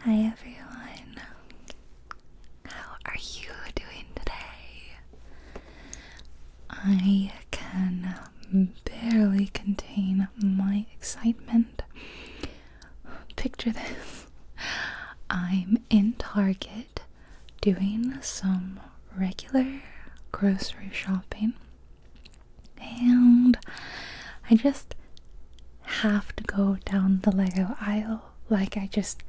Hi everyone. How are you doing today? I can barely contain my excitement. Picture this. I'm in Target doing some regular grocery shopping and I just have to go down the Lego aisle. Like, I just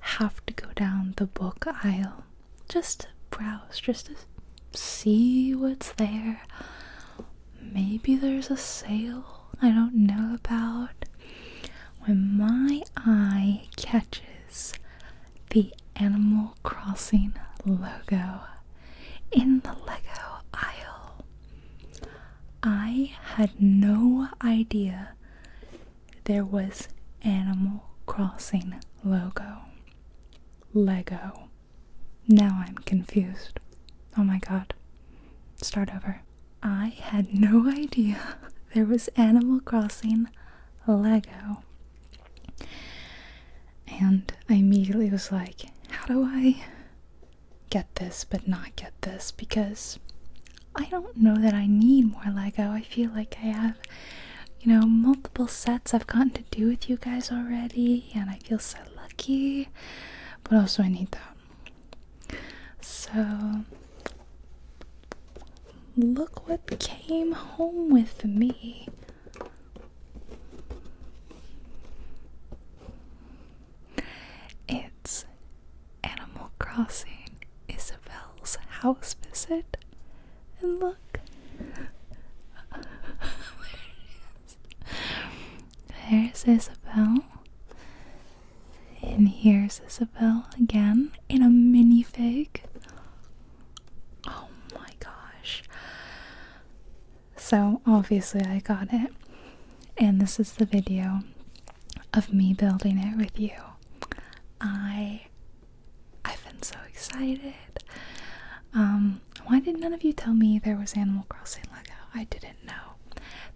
have to go down the book aisle just to browse, just to see what's there. Maybe there's a sale I don't know about. When my eye catches the Animal Crossing logo, in the Lego aisle. I had no idea there was Animal Crossing logo. Lego. Now I'm confused. Oh my god. Start over. I had no idea there was Animal Crossing Lego. And I immediately was like, how do I get this but not get this because I don't know that I need more Lego. I feel like I have, you know, multiple sets I've gotten to do with you guys already, and I feel so lucky. But also, I need that. So, look what came home with me. It's Animal Crossing Isabel's house visit. And look, there it is. There's Isabel. And here's Isabel again in a minifig. Oh my gosh. So obviously I got it. And this is the video of me building it with you. I I've been so excited. Um, why did none of you tell me there was Animal Crossing Lego? I didn't know.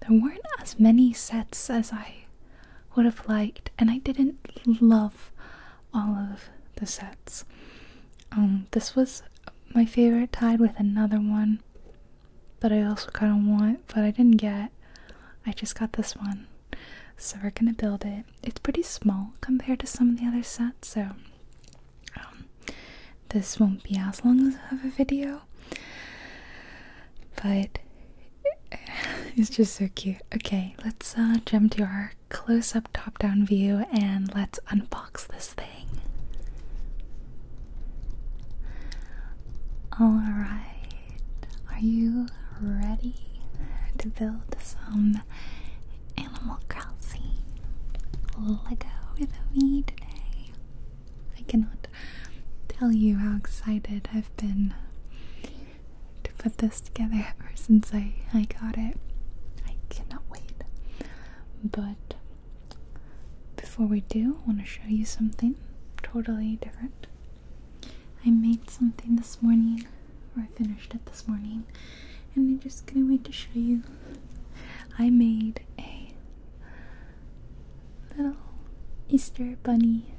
There weren't as many sets as I would have liked, and I didn't love all of the sets. Um, this was my favorite tied with another one that I also kind of want, but I didn't get. I just got this one. So we're gonna build it. It's pretty small compared to some of the other sets, so um, this won't be as long of a video. But it's just so cute. Okay, let's uh, jump to our close-up top-down view and let's unbox this thing. Alright, are you ready to build some Animal Crossing Lego with me today? I cannot tell you how excited I've been to put this together ever since I, I got it. I cannot wait. But before we do, I want to show you something totally different. I made something this morning, or I finished it this morning, and I'm just gonna wait to show you. I made a little Easter bunny.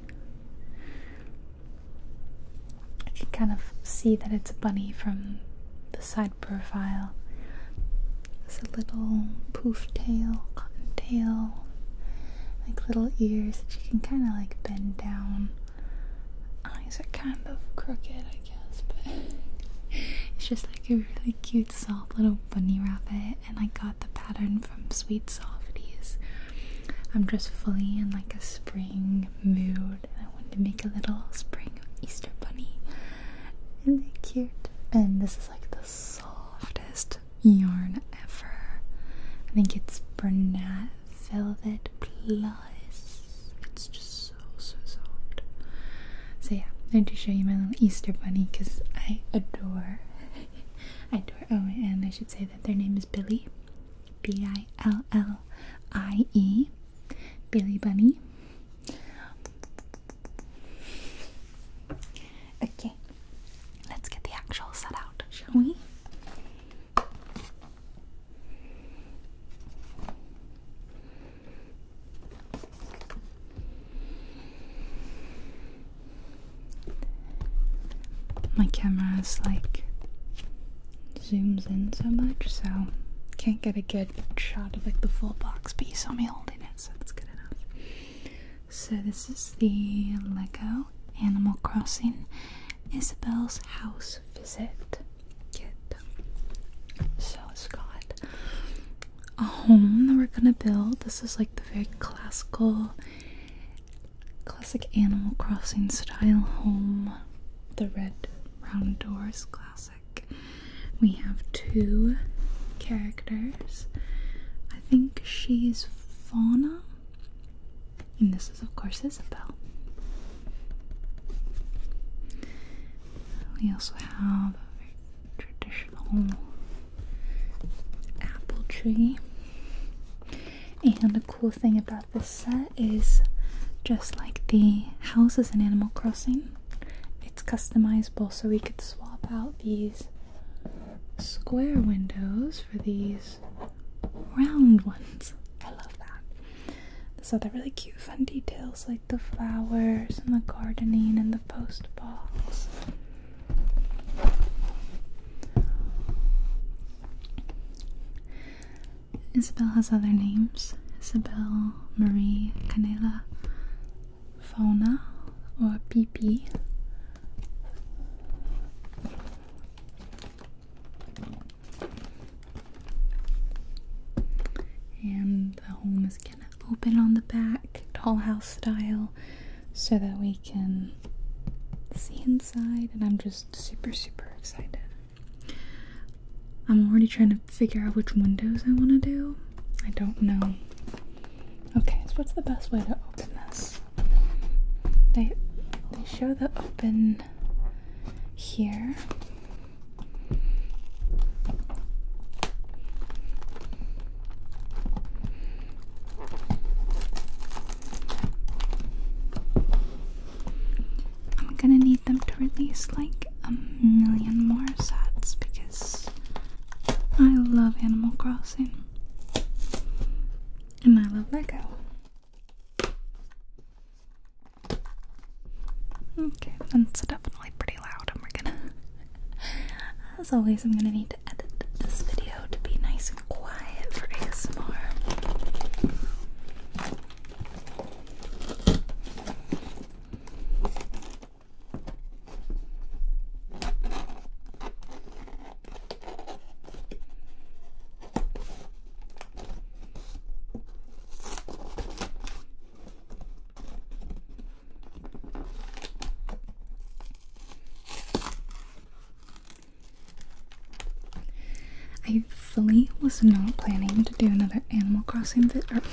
You can kind of see that it's a bunny from the side profile. It's a little poof tail, cotton tail, like little ears that you can kind of like bend down. Eyes are kind of crooked, I guess, but it's just like a really cute, soft little bunny rabbit. And I got the pattern from Sweet Softies. I'm just fully in like a spring mood, and I wanted to make a little spring Easter bunny. Isn't that cute? and this is like the softest yarn ever. I think it's Bernat Velvet Plus. It's just so so soft. So yeah, I need to show you my little Easter bunny because I adore, I adore. Oh, and I should say that their name is Billy, B-I-L-L-I-E, Billy Bunny. Okay, let's get the actual set out, shall we? My camera is like zooms in so much, so can't get a good shot of like the full box, but you saw me holding it so that's good enough. So this is the Lego Animal Crossing Isabel's House Visit So it's got a home that we're gonna build. This is like the very classical classic Animal Crossing style home. The red round doors, classic. We have two characters. I think she's Fauna, and this is, of course, Isabel. We also have a very traditional apple tree. And the cool thing about this set is just like the houses in Animal Crossing, it's customizable so we could swap out these square windows for these round ones. I love that. So they're really cute fun details like the flowers and the gardening and the post box. Isabel has other names. Isabel Marie Canela fauna or PP. And the home is going to open on the back, house style, so that we can see inside. And I'm just super, super excited. I'm already trying to figure out which windows I want to do. I don't know. Okay, so what's the best way to open this? They, they show the open here. I'm gonna need them to release like a million more sets because I love Animal Crossing. And I love Lego. Okay, that's definitely pretty loud, and we're gonna. As always, I'm gonna need to edit this video to be nice and quiet for ASMR. I fully was not planning to do another Animal Crossing video.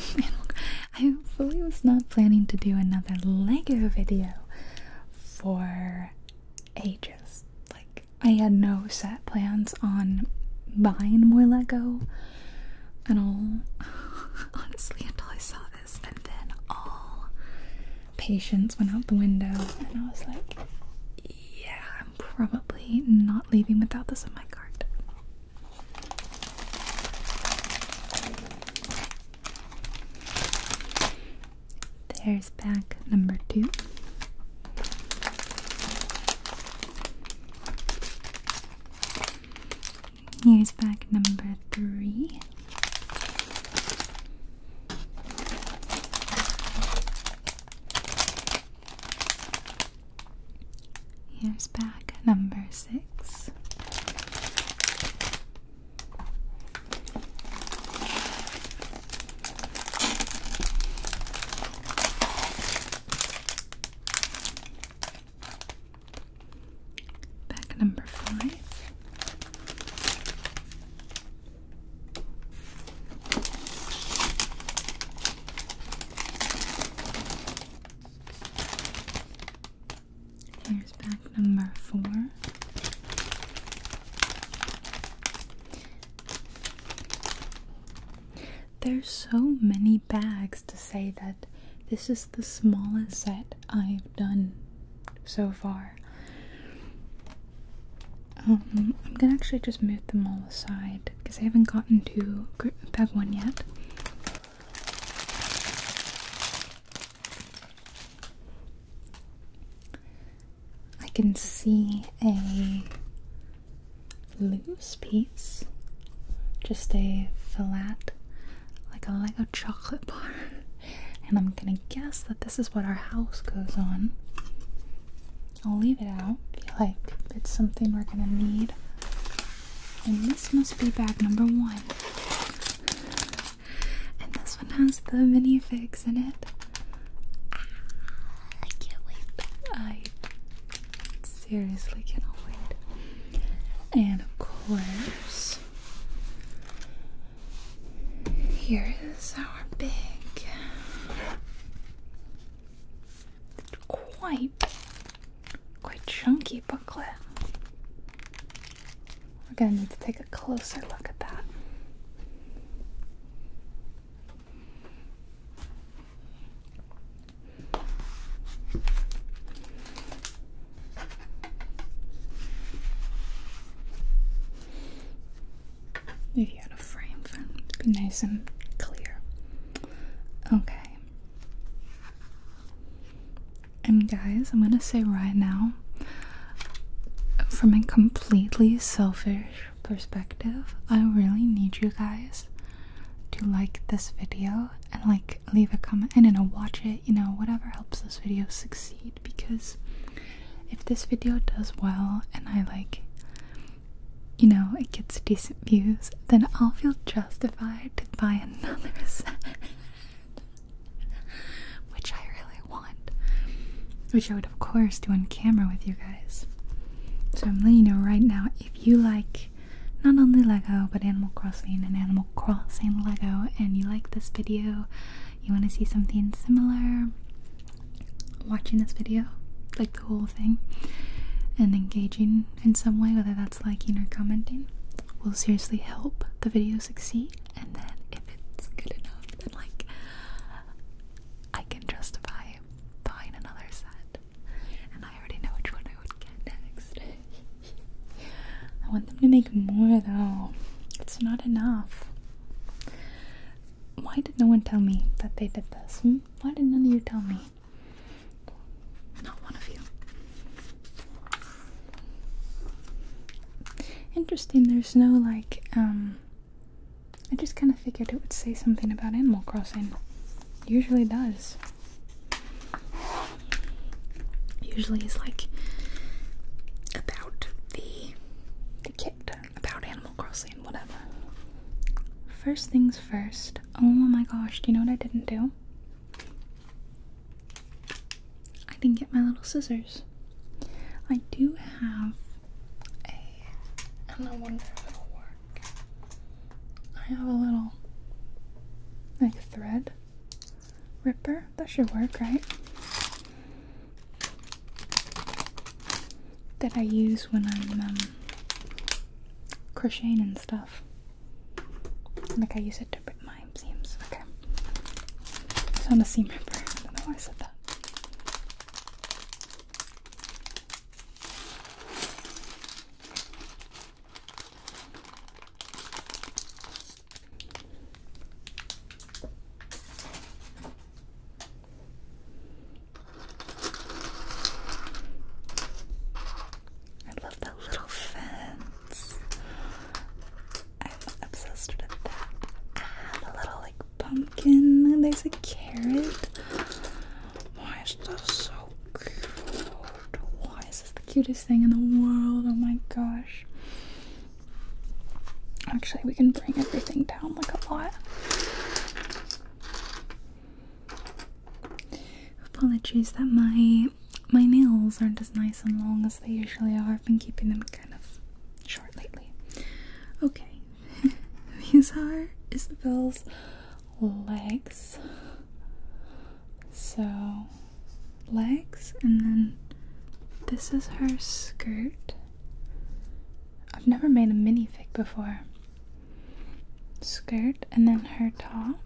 I fully was not planning to do another Lego video for ages. Like, I had no set plans on buying more Lego and all, honestly, until I saw this, and then all patience went out the window, and I was like, yeah, I'm probably not leaving without this in my cart. There's bag number two. Here's bag number three. Here's bag number six. Bag number five. Here's pack number four. There's so many bags to say that this is the smallest set I've done so far. Um, I'm gonna actually just move them all aside because I haven't gotten to bag one yet. I can see a loose piece, just a flat, like a like chocolate bar, and I'm gonna guess that this is what our house goes on. I'll leave it out. I feel like it's something we're gonna need and this must be bag number one. And this one has the minifigs in it. Ah, I can't wait. I seriously cannot wait. And of course, here is our big, quite quite chunky booklet. We're going to need to take a closer look at that. Maybe you a frame for nice and clear. Okay. And guys, I'm gonna say right now, from a completely selfish perspective, I really need you guys to like this video and like leave a comment and watch it, you know, whatever helps this video succeed because if this video does well and I like you know it gets decent views, then I'll feel justified to buy another set. which I really want, which I would, of course, do on camera with you guys. So I'm letting you know right now if you like not only Lego but Animal Crossing and Animal Crossing Lego, and you like this video, you want to see something similar watching this video, like the whole thing, and engaging in some way, whether that's liking or commenting will seriously help the video succeed. And then if it's good enough, then like I can justify buying another set. And I already know which one I would get next. I want them to make more though. It's not enough. Why did no one tell me that they did this? Hmm? Why did none of you tell me? Not one of you. Interesting, there's no like, um, I just kind of figured it would say something about Animal Crossing. usually does. Usually is like about the, the kit, about Animal Crossing, whatever. First things first. Oh my gosh, do you know what I didn't do? I didn't get my little scissors. I do have a, and I wonder if it'll work. I have a little, like, thread ripper. That should work, right? That I use when I'm um, crocheting and stuff. Like, I use it to bring Okay. It's on a seam ripper. I don't know why I said that. I love that little fence. I'm obsessed with that. Ah, little like pumpkin. there's a carrot. Why is this so cute? Why is this the cutest thing in the world? Oh my gosh. Actually, we can bring everything down like a lot. Apologies that my my nails aren't as nice and long as they usually are. I've been keeping them kind of short lately. Okay, these are Isabel's legs. So, legs, and then this is her skirt. I've never made a minifig before. Skirt, and then her top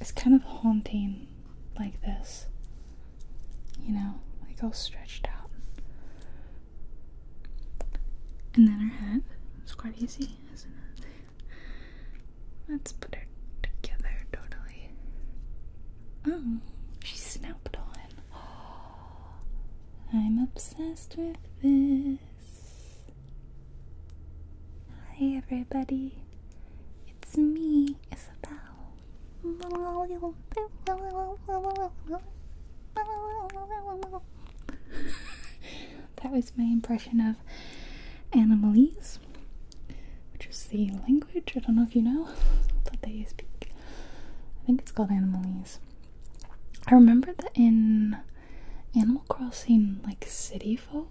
it's kind of haunting like this. You know, like all stretched out. And then her head. It's quite easy, isn't it? Let's put her together totally. Oh, she's snapped on. I'm obsessed with this. Hi everybody, it's me, Isabel. that was my impression of Animalese, which is the language, I don't know if you know, that they speak. I think it's called Animalese. I remember that in Animal Crossing, like City Folk,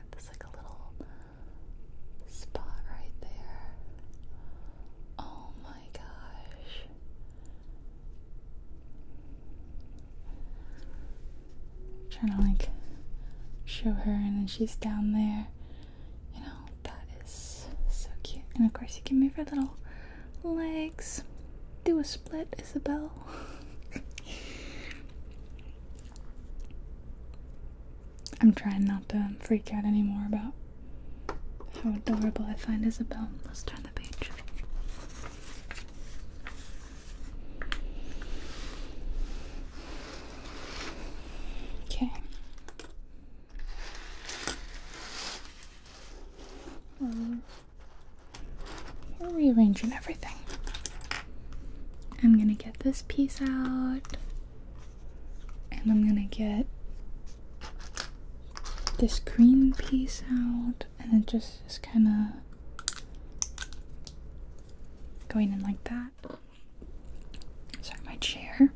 there. like a little spot right there. Oh my gosh. trying to like show her, and then she's down there. You know, that is so cute. And of course, you can move her little legs. Do a split, Isabel. I'm trying not to freak out anymore about how adorable I find Isabel. Let's turn the page. Okay. We're rearranging everything. I'm gonna get this piece out, and I'm gonna get this green piece out, and it just is kind of going in like that. Sorry, my chair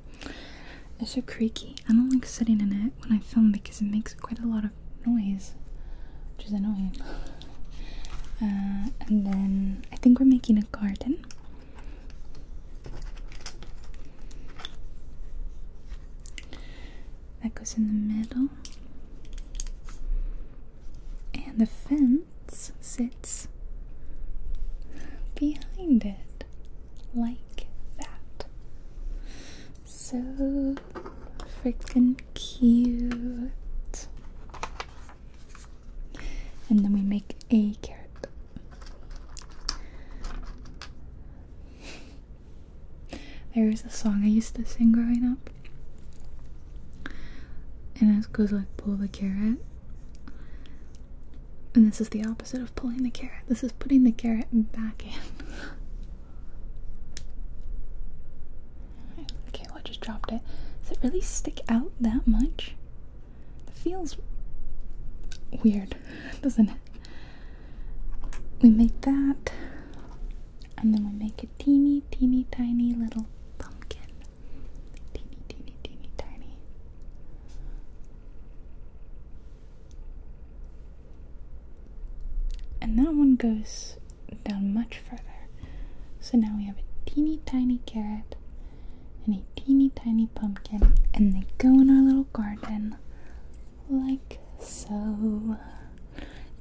is so creaky. I don't like sitting in it when I film because it makes quite a lot of noise which is annoying. Uh, and then I think we're making a garden. That goes in the middle. And the fence sits behind it, like that. So freaking cute. And then we make a carrot. There is a song I used to sing growing up. And it goes like pull the carrot. And this is the opposite of pulling the carrot. This is putting the carrot back in. Okay, I just dropped it. Does it really stick out that much? It feels weird, doesn't it? We make that, and then we make a teeny, teeny, tiny little pumpkin. Teeny, teeny, teeny, tiny. And that one goes down much further. So now we have a teeny tiny carrot and a teeny tiny pumpkin, and they go in our little garden like so.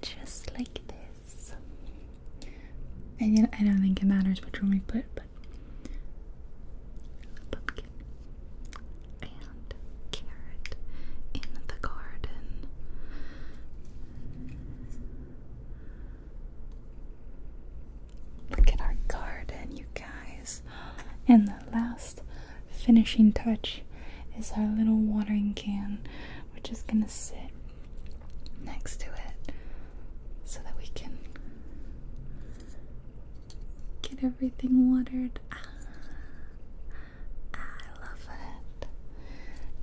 Just like this. And I don't think it matters which one we put, but pumpkin and carrot in the garden. Look at our garden, you guys. And the last finishing touch is our little watering can, which is going to sit next to it so that we can get everything watered. Ah, I love it.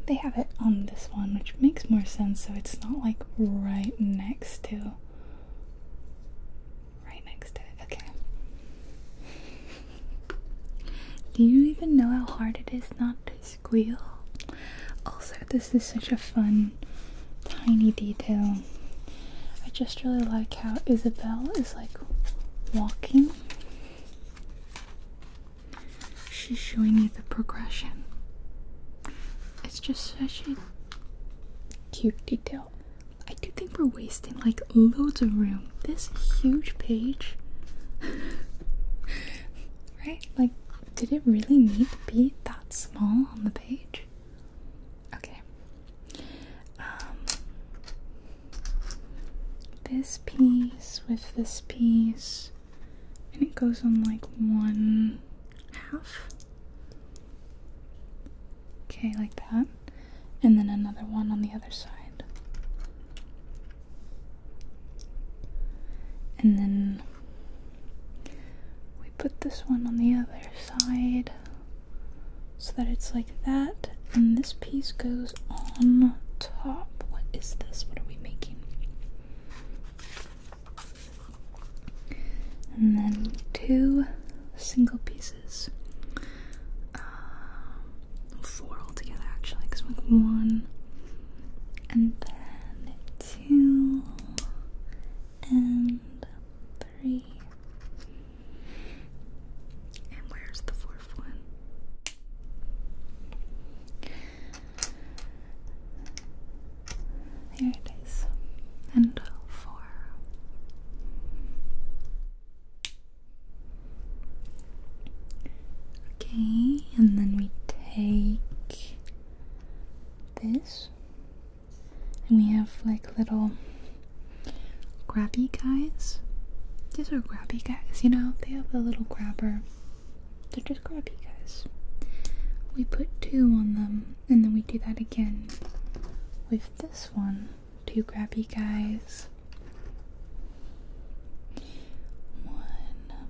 They have it on this one, which makes more sense, so it's not like right next to. Right next to it, okay. Do you even know how hard it is not to squeal? Also, this is such a fun, tiny detail. I just really like how Isabel is like walking She's showing you the progression. It's just such a cute detail. I do think we're wasting like loads of room. This huge page. right? Like, did it really need to be that small on the page? Okay. Um, this piece with this piece and it goes on like one half. Okay, like that. And then another one on the other side. And then we put this one on the other side so that it's like that. And this piece goes on top. What is this? What are we making? and then two single pieces. Um, four altogether, actually, because like one, and then two, and three. And where's the fourth one? There it is. And four. Okay, and then we take this. And we have like little grabby guys. These are grabby guys, you know, they have a little grabber so just grab you guys. We put two on them, and then we do that again with this one. Two grabby guys. One and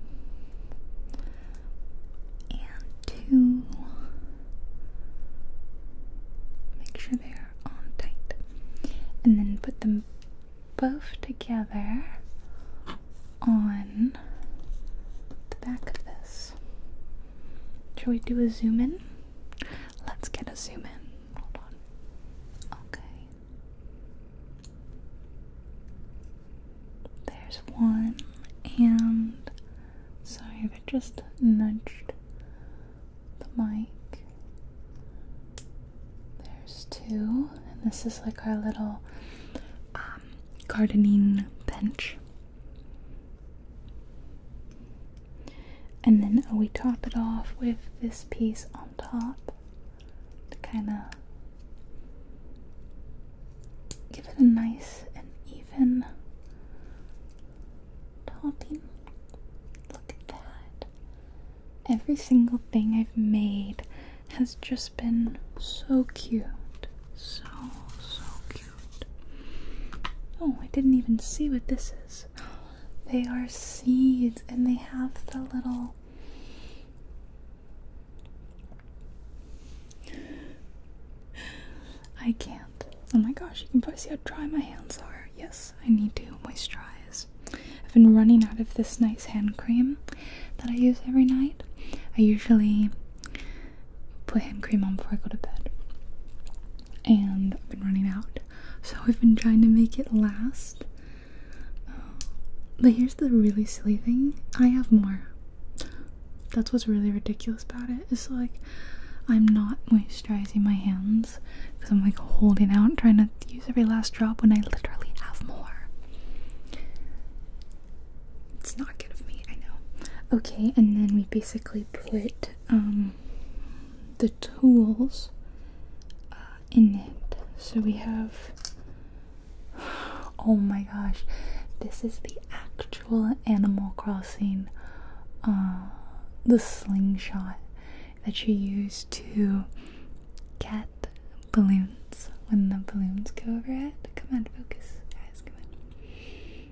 two. Make sure they are on tight. And then put them both together on the back of this. Shall we do a zoom in? Let's get a zoom in. Hold on. Okay. There's one, and sorry if I just nudged the mic. There's two, and this is like our little um, gardening bench. And then we top it off with this piece on top to kind of give it a nice and even topping. Look at that. Every single thing I've made has just been so cute. So, so cute. Oh, I didn't even see what this is. They are seeds and they have the little. I can't. Oh my gosh, you can probably see how dry my hands are. Yes, I need to moisturize. I've been running out of this nice hand cream that I use every night. I usually put hand cream on before I go to bed. And I've been running out, so I've been trying to make it last. but here's the really silly thing I have more. That's what's really ridiculous about It's like I'm not moisturizing my hands because I'm like holding out, trying to use every last drop when I literally have more. It's not good of me, I know. Okay, and then we basically put um, the tools uh, in it. So we have. Oh my gosh, this is the actual Animal Crossing, uh, the slingshot that you use to cat balloons when the balloons go overhead. Come on, focus, guys. Come on.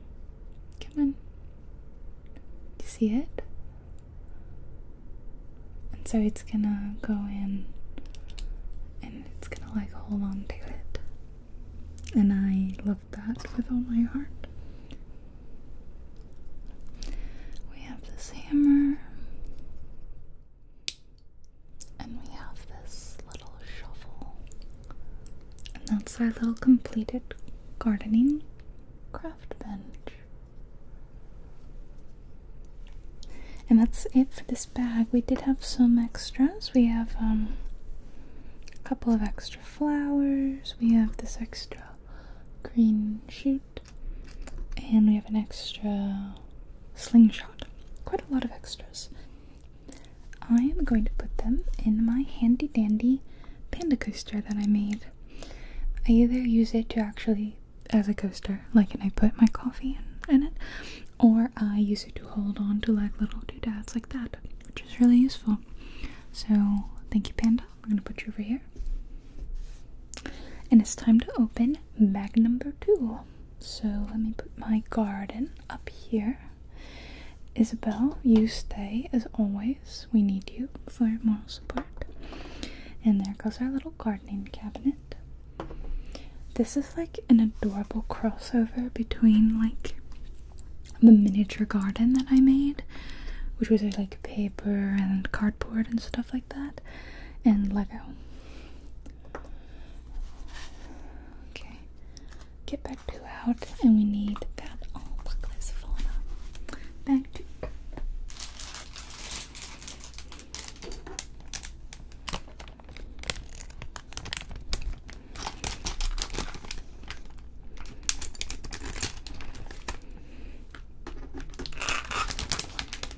Come on. you see it? And so it's gonna go in and it's gonna like hold on to it. And I love that with all my heart. We have this hammer. And we have this little shovel. And that's our little completed gardening craft bench. And that's it for this bag. We did have some extras. We have um, a couple of extra flowers. We have this extra green shoot. And we have an extra slingshot. Quite a lot of extras. I am going to put them in my handy dandy panda coaster that I made. I either use it to actually as a coaster, like and I put my coffee in, it, or I use it to hold on to like little doodads like that, which is really useful. So thank you, Panda. I'm gonna put you over here. And it's time to open bag number two. So let me put my garden up here. Isabel, you stay as always. We need you for moral support. And there goes our little gardening cabinet. This is like an adorable crossover between like the miniature garden that I made, which was like paper and cardboard and stuff like that, and Lego. Okay, get back to out, and we need that. Oh, look, this falling up. Back to.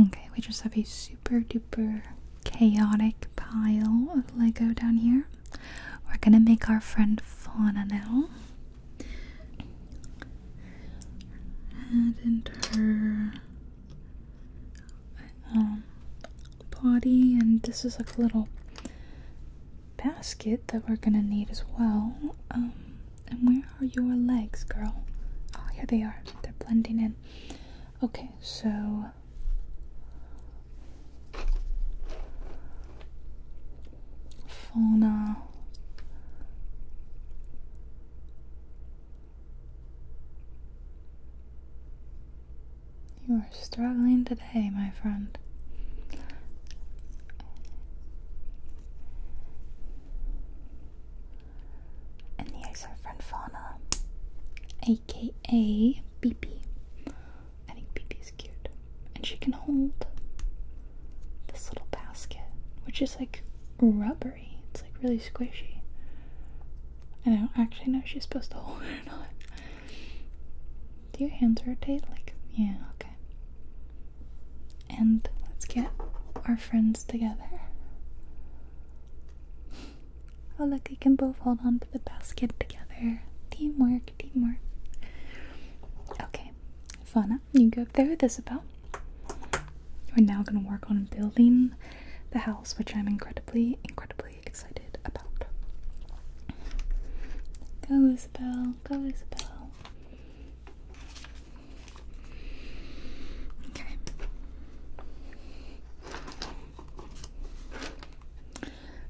Okay, we just have a super duper chaotic pile of Lego down here. We're gonna make our friend Fauna now. enter um, and this is like a little basket that we're gonna need as well. Um, and where are your legs, girl? Oh, here they are. They're blending in. Okay, so. Fauna you are struggling today, my friend. And the our friend Fauna, aka Beepy. I think Beepy's cute. And she can hold this little basket, which is like rubber. It's like really squishy. And I don't actually know she's supposed to hold it or not. Do your hands rotate? Like, yeah, okay. And let's get our friends together. Oh, look, we can both hold on to the basket together. Teamwork, teamwork. Okay, Fauna, you go up there with Isabel. We're now going to work on building the house, which I'm incredibly, incredibly excited about. Go, Isabel. Go, Isabel. Okay.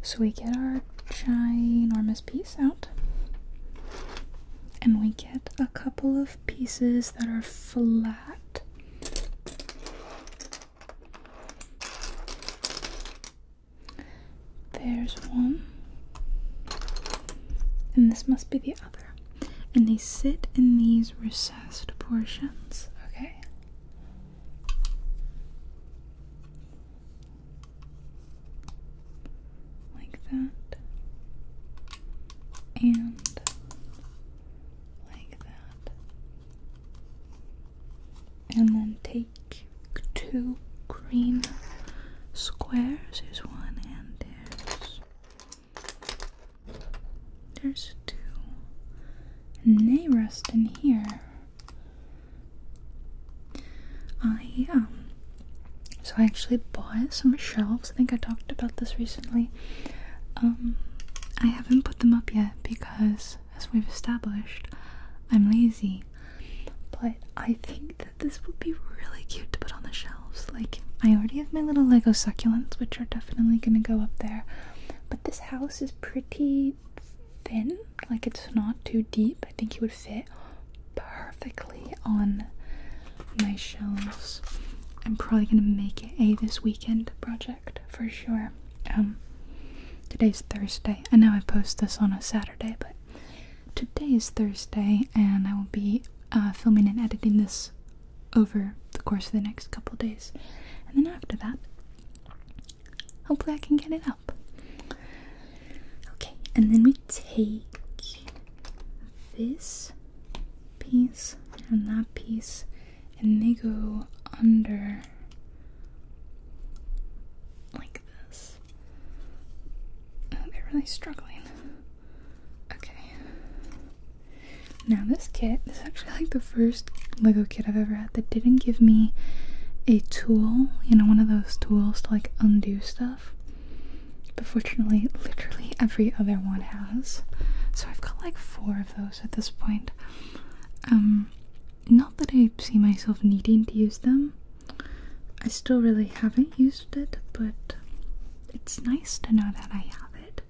So we get our ginormous piece out, and we get a couple of pieces that are flat. There's one. And this must be the other. And they sit in these recessed portions, okay? Like that. And like that. And then take two green squares. There's one and there's there's two. And they rest in here. I um so I actually bought some shelves. I think I talked about this recently. Um, I haven't put them up yet because, as we've established, I'm lazy. But I think that this would be really cute to put on the shelves. Like, I already have my little Lego succulents, which are definitely gonna go up there. But this house is pretty thin, like, it's not too deep. I think you would fit perfectly on my shelves. I'm probably gonna make it a this weekend project for sure. Um, today's Thursday. I know I post this on a Saturday, but today is Thursday, and I will be uh, filming and editing this over the course of the next couple days, and then after that, hopefully I can get it up. Okay, and then we take this piece and that piece and they go under like this. Oh, they're really struggling. Okay. Now this kit, is actually like the first Lego kit I've ever had that didn't give me a tool, you know, one of those tools to like undo stuff. But fortunately, literally every other one has. So I've got like four of those at this point. Um, not that I see myself needing to use them. I still really haven't used it, but it's nice to know that I have it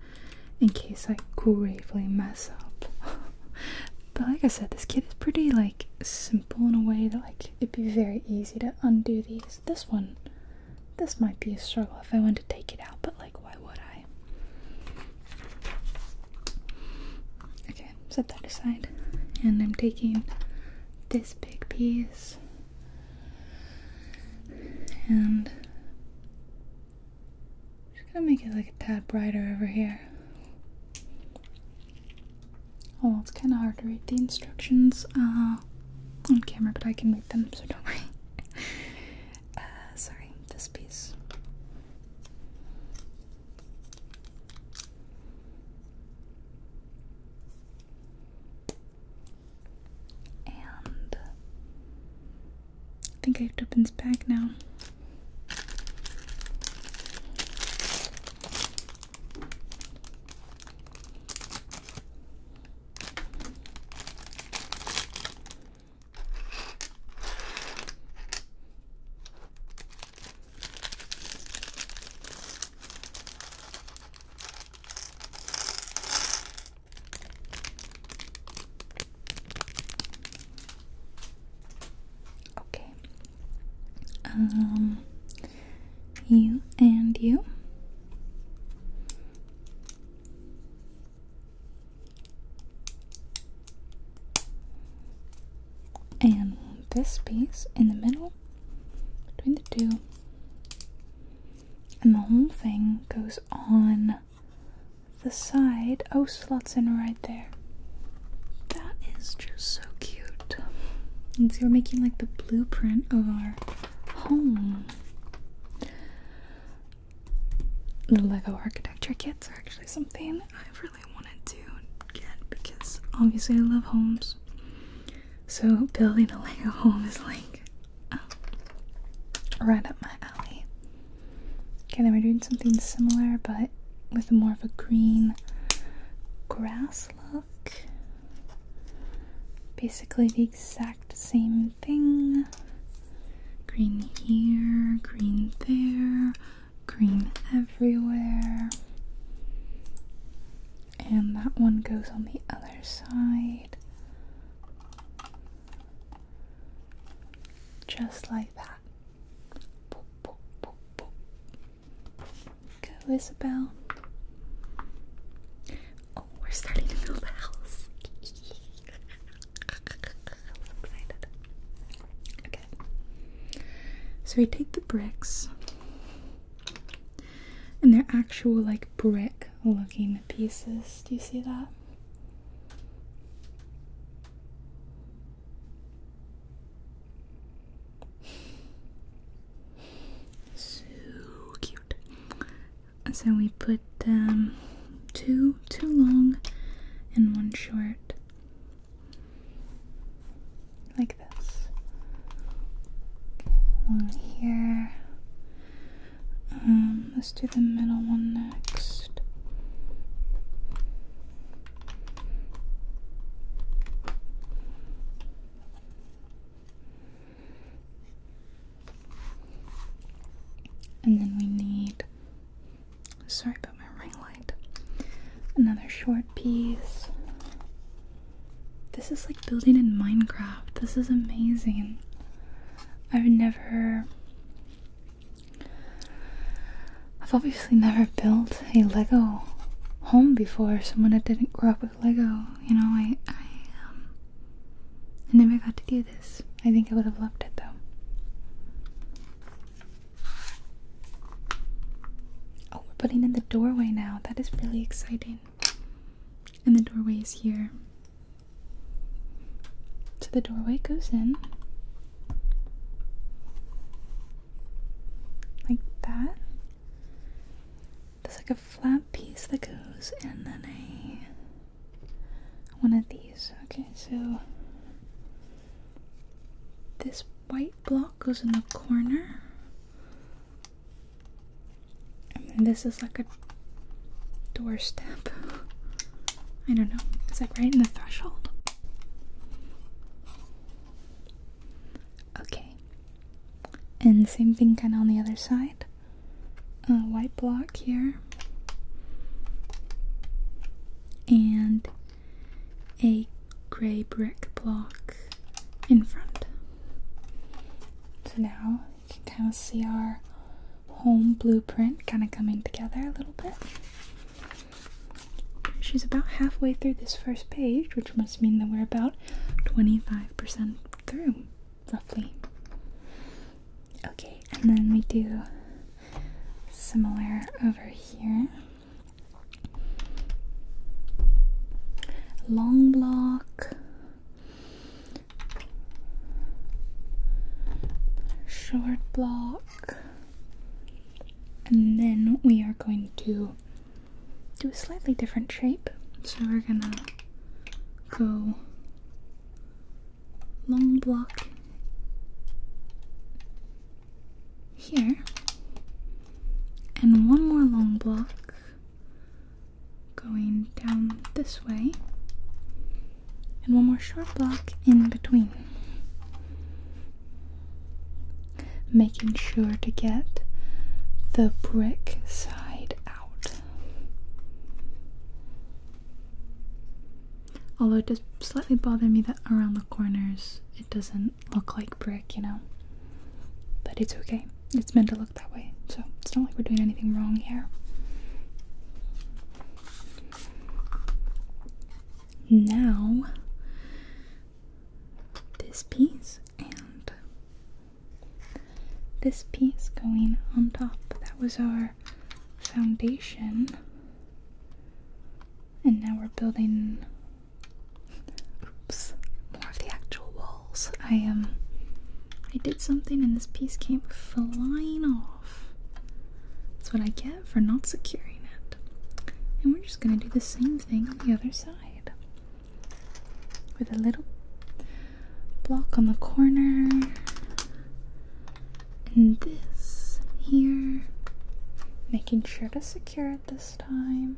in case I gravely mess up. but like I said, this kit is pretty like simple in a way that like it'd be very easy to undo these. This one this might be a struggle if I wanted to take it out, but like, why would I? Okay, set that aside. And I'm taking this big piece and just gonna make it like a tad brighter over here. Oh, it's kind of hard to read the instructions uh, on camera, but I can read them, so don't worry. Uh, sorry, this piece. And I think I have to open this bag now. Okay. Um you and you and this piece in the middle between the two. And the whole thing goes on the side. Oh, slots in right there. That is just so cute. And so we're making like the blueprint of our home. The Lego architecture kits are actually something I've really wanted to get because obviously I love homes. So building a Lego home is like um, right up my alley. Okay, then we're doing something similar but with more of a green grass look. Basically the exact same Green here, green there, green everywhere. And that one goes on the other side. Just like that. Go, Isabel. Oh, we're starting to build a house. so So we take the bricks. And they're actual like brick looking pieces. Do you see that? So cute so we put um, two two long and one short like this okay here um, let's do the middle one next and then we need, sorry about my ring light, another short piece. This is like building in Minecraft. This is amazing. I've never. I've obviously never built a Lego home before. Someone that didn't grow up with Lego, you know, I, I um, I never got to do this. I think I would have loved it though. Oh, we're putting in the doorway now. That is really exciting. And the doorway is here. So the doorway goes in. Like that. There's like a flat piece that goes and then a one of these. Okay, so this white block goes in the corner. And this is like a doorstep. I don't know. It's like right in the threshold. Okay. And same thing kind of on the other side. A white block here and a gray brick block in front. So now you can kind of see our home blueprint kind of coming together a little bit. She's about halfway through this first page, which must mean that we're about 25% through. Lovely. Okay, and then we do similar over here. Long block, short block, and then we are going to do a slightly different shape. So we're gonna go long block here, and one more long block going down this way, and one more short block in between. Making sure to get the brick side out. Although it does slightly bother me that around the corners it doesn't look like brick, you know? But it's okay. It's meant to look that way, so it's not like we're doing anything wrong here. Now, this piece and this piece going on top, that was our foundation. And now we're building more of the actual walls. I um, I did something and this piece came flying off. That's what I get for not securing it. And we're just gonna do the same thing on the other side. With a little block on the corner, and this here. Making sure to secure it this time.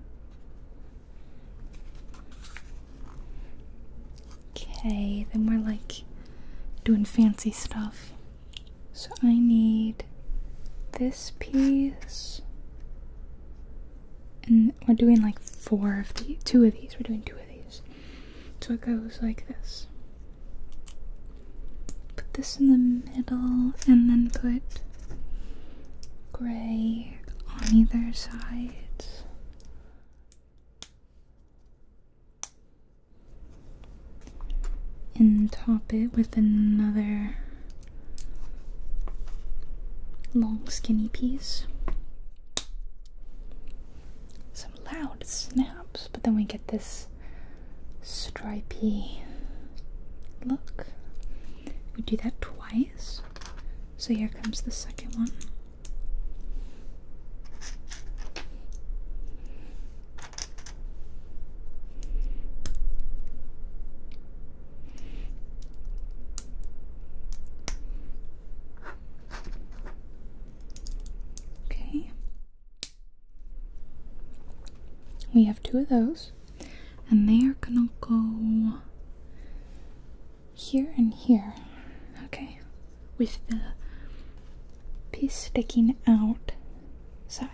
Okay, then we're like doing fancy stuff. So I need this piece. And we're doing like four of these, two of these. We're doing two of these. So it goes like this. Put this in the middle and then put gray on either side. And top it with another long skinny piece loud snaps, but then we get this stripy look. We do that twice. So here comes the second one. Okay. We have two of those, and they are gonna go here and here. Okay, with the piece sticking out side.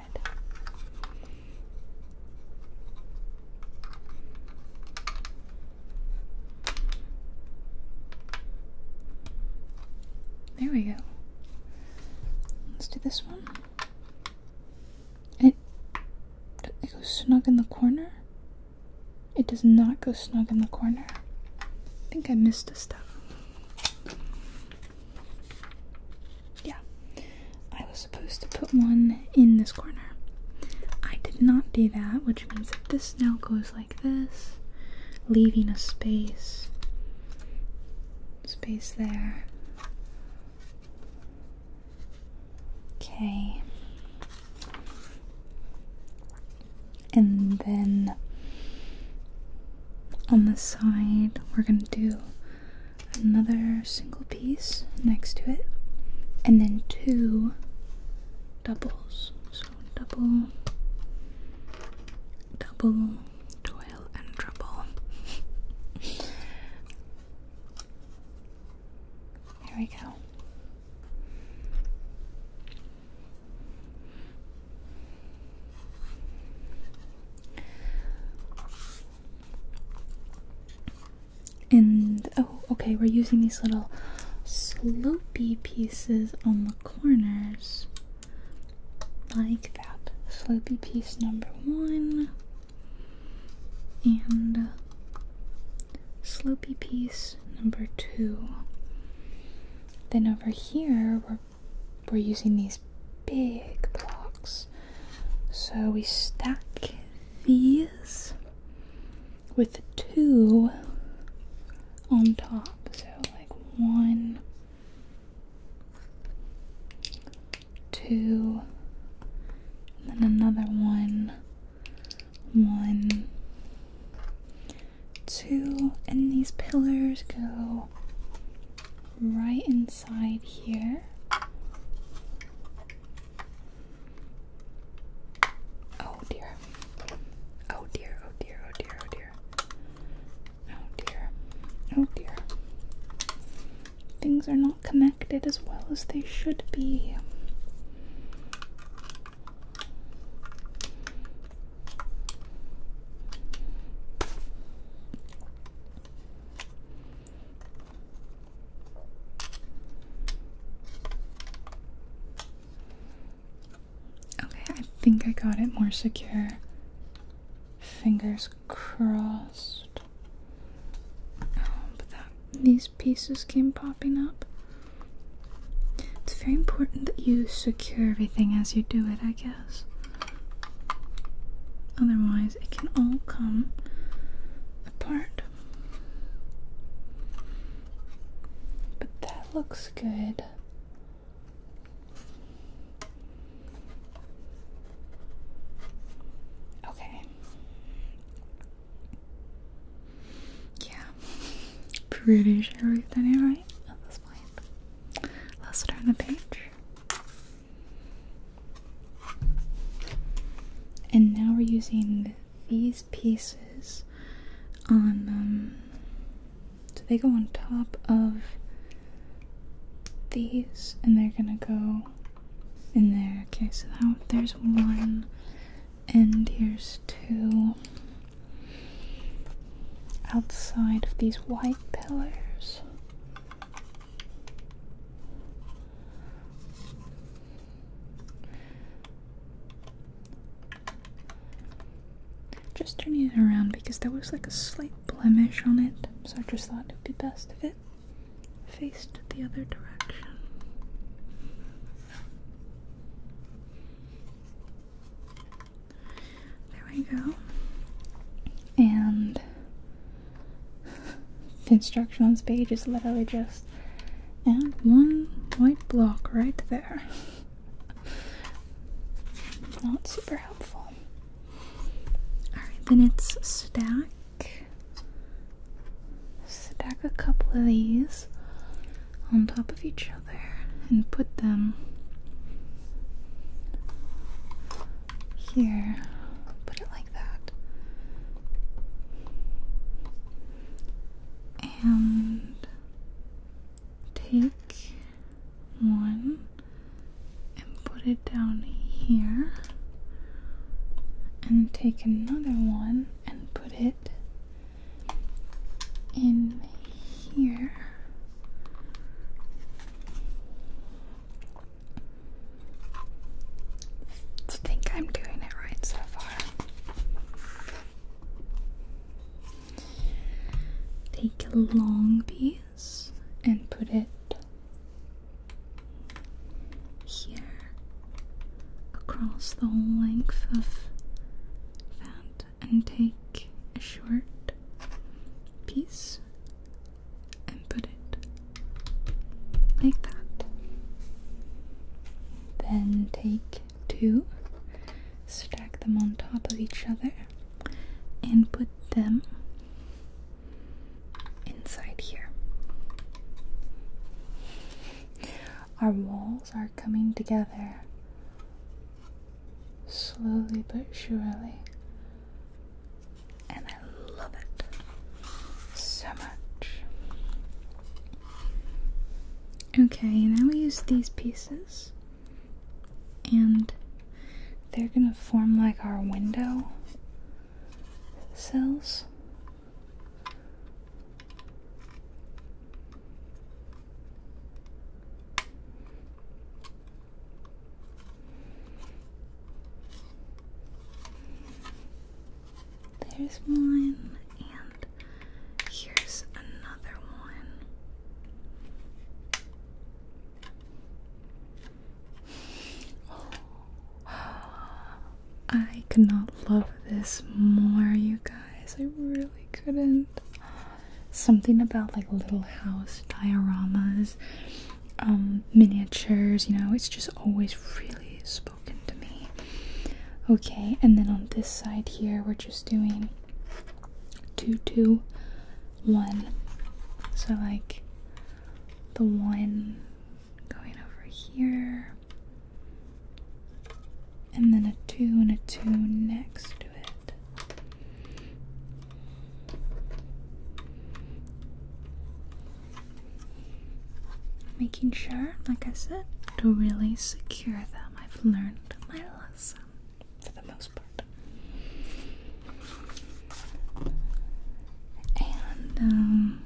There we go. Let's do this one. it, it goes snug in the corner. It does not go snug in the corner. I think I missed a step. Yeah. I was supposed to put one in this corner. I did not do that, which means that this now goes like like this, leaving a space, space there. Okay. And then on the side, we're going to do another single piece next to it, and then two doubles double, double, toil and trouble. Here we go. And oh, okay, we're using these little sloopy pieces on the corners like that. Slopey piece number one and slopey piece number two. Then over here we're we're using these big blocks. So we stack these with two on top. So, like one, two, and then another one, one, two, and these pillars go right inside here. Oh dear. Oh dear, oh dear, oh dear, oh dear. Oh dear. Oh dear. Things are not connected as well as they should be. Okay, I think I got it more secure. Fingers crossed. Oh, but these pieces came popping up. It's very important that you secure everything as you do it, I guess. Otherwise, it can all come apart. But that looks good. Okay. Yeah. Pretty sure we've done it right at this point. Let's turn the page. And now we're using these pieces on them. Um, so they go on top of these, and they're gonna go in there. Okay, so now there's one, and here's two. Outside of these white pillars. Just turning it around because there was like a slight blemish on it, so I just thought it would be best if it faced the other direction. There we go. And the instructions page is literally just and one white block right there. Not super helpful. Alright, then it's stack. Stack a couple of these on top of each other and put them here. Put it like that. And take one and put it down here, and take another one and put it in here. I think I'm doing it right so far. Take a long piece and put it here across the whole length of that, and take a short piece and put it like that. Then take to stack them on top of each other, and put them inside here. Our walls are coming together slowly but surely, and I love it so much. Okay, now we use these pieces and they're gonna form like our window cells. There's one, and here's another one. I cannot love this more, you guys. I really couldn't. Something about like little house dioramas, um, miniatures, you know, it's just always really spoken to me. Okay, and then on this side here, we're just doing two two one. So like the one going over here and then a two and a two next to it. Making sure, like I said, to really secure them. I've learned my lesson for the most part. And um,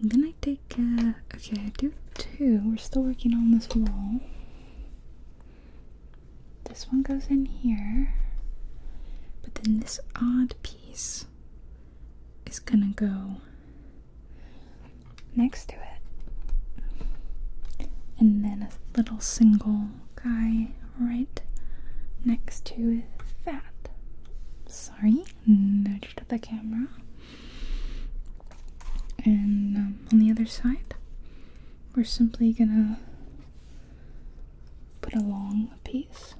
then I take, uh, okay, I do two. We're still working on this wall. This one goes in here, but then this odd piece is gonna go next to it. And then a little single guy right next to that. Sorry, nudged the camera. And um, on the other side, we're simply gonna put a long piece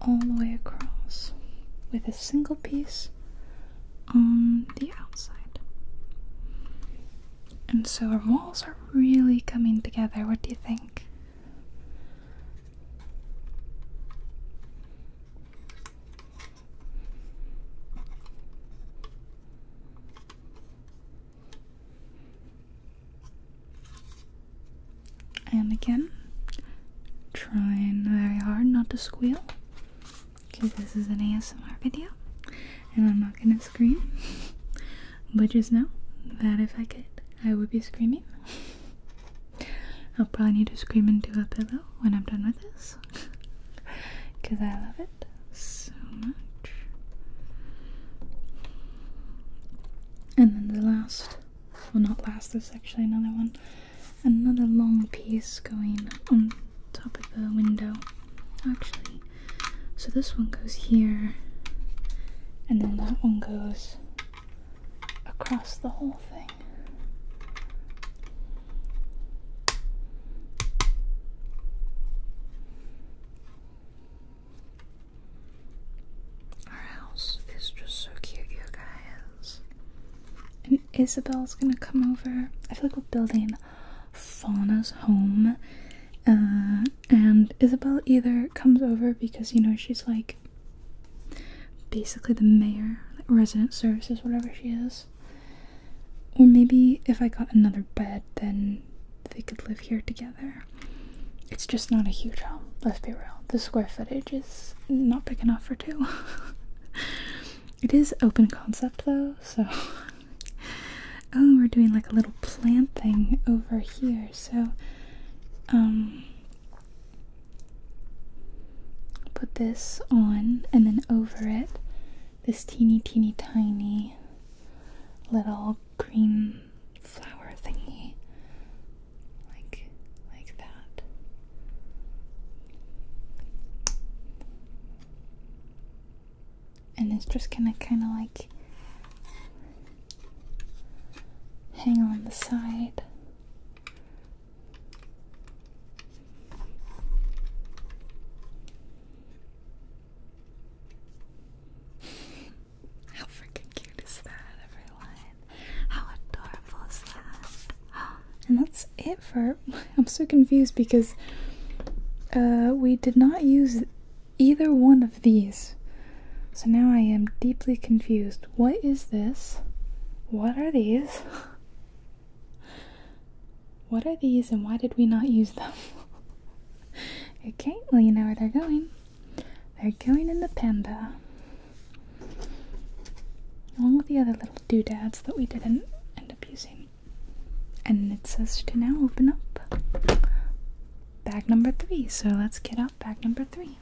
all the way across with a single piece on the outside. And so our walls are really coming together. What do you think? And again, trying very hard not to squeal. Okay, this is an ASMR video and I'm not gonna scream. But just know that if I could, I would be screaming. I'll probably need to scream into a pillow when I'm done with this because I love it so much. And then the last, well, not last, there's actually another one, another long piece going on top of the window actually. So this one goes here, and then that one goes across the whole thing. Our house is just so cute, you guys. And Isabel's gonna come over. I feel like we're building Fauna's home. Uh, and Isabel either comes over because, you know, she's like basically the mayor, like resident services, whatever she is. Or maybe if I got another bed, then they could live here together. It's just not a huge home, let's be real. The square footage is not big enough for two. it is open concept though, so oh, we're doing like a little plant thing over here. So, um, put this on and then over it, this teeny, teeny, tiny little green flower thingy. Like, like that and it's just gonna kind of like hang on the side. How freaking cute is that, everyone? How adorable is that? And that's it for. I'm so confused because uh, we did not use either one of these. So now I am deeply confused. What is this? What are these? What are these and why did we not use them? okay, well, you know where they're going. They're going in the panda. Along with the other little doodads that we didn't end up using. And it says to now open up bag number three. So let's get out bag number three.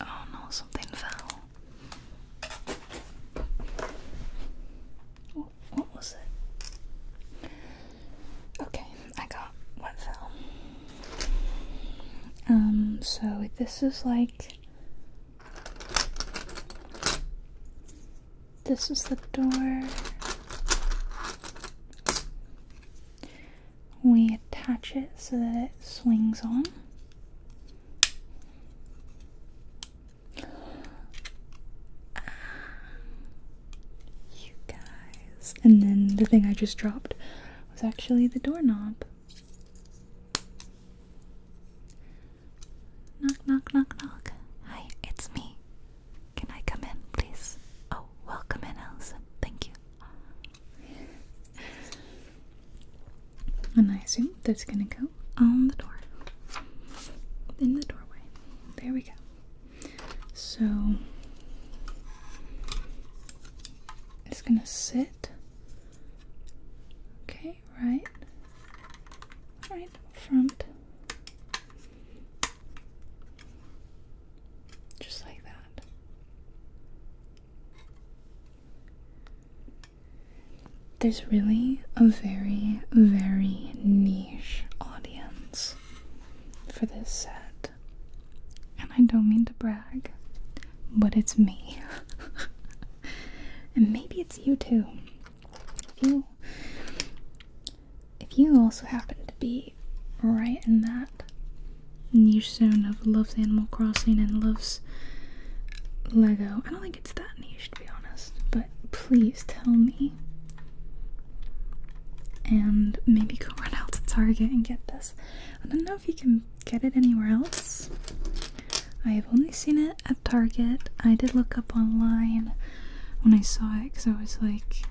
Oh no, something fell. What, was it? Okay, I got what fell. Um, so this is like. This is the door we attach it so that it swings on. You guys. And then the thing I just dropped was actually the doorknob. Knock, knock, knock, knock. Hi, it's me. Can I come in, please? Oh, welcome in, Allison. Thank you. And I assume that's gonna go on the door. In the doorway. There we go. So it's gonna sit. Okay, right. Right front. Just like that. There's really a very, very niche audience for this set. And I don't mean to brag, but it's me. and maybe it's you too. If you if you also happen to be right in that niche zone of loves Animal Crossing and loves Lego. I don't think it's that niche to be honest, but please tell me. And maybe go run out to Target and get this. I don't know if you can get it anywhere else. I have only seen it at Target. I did look up online when I saw it because I was like,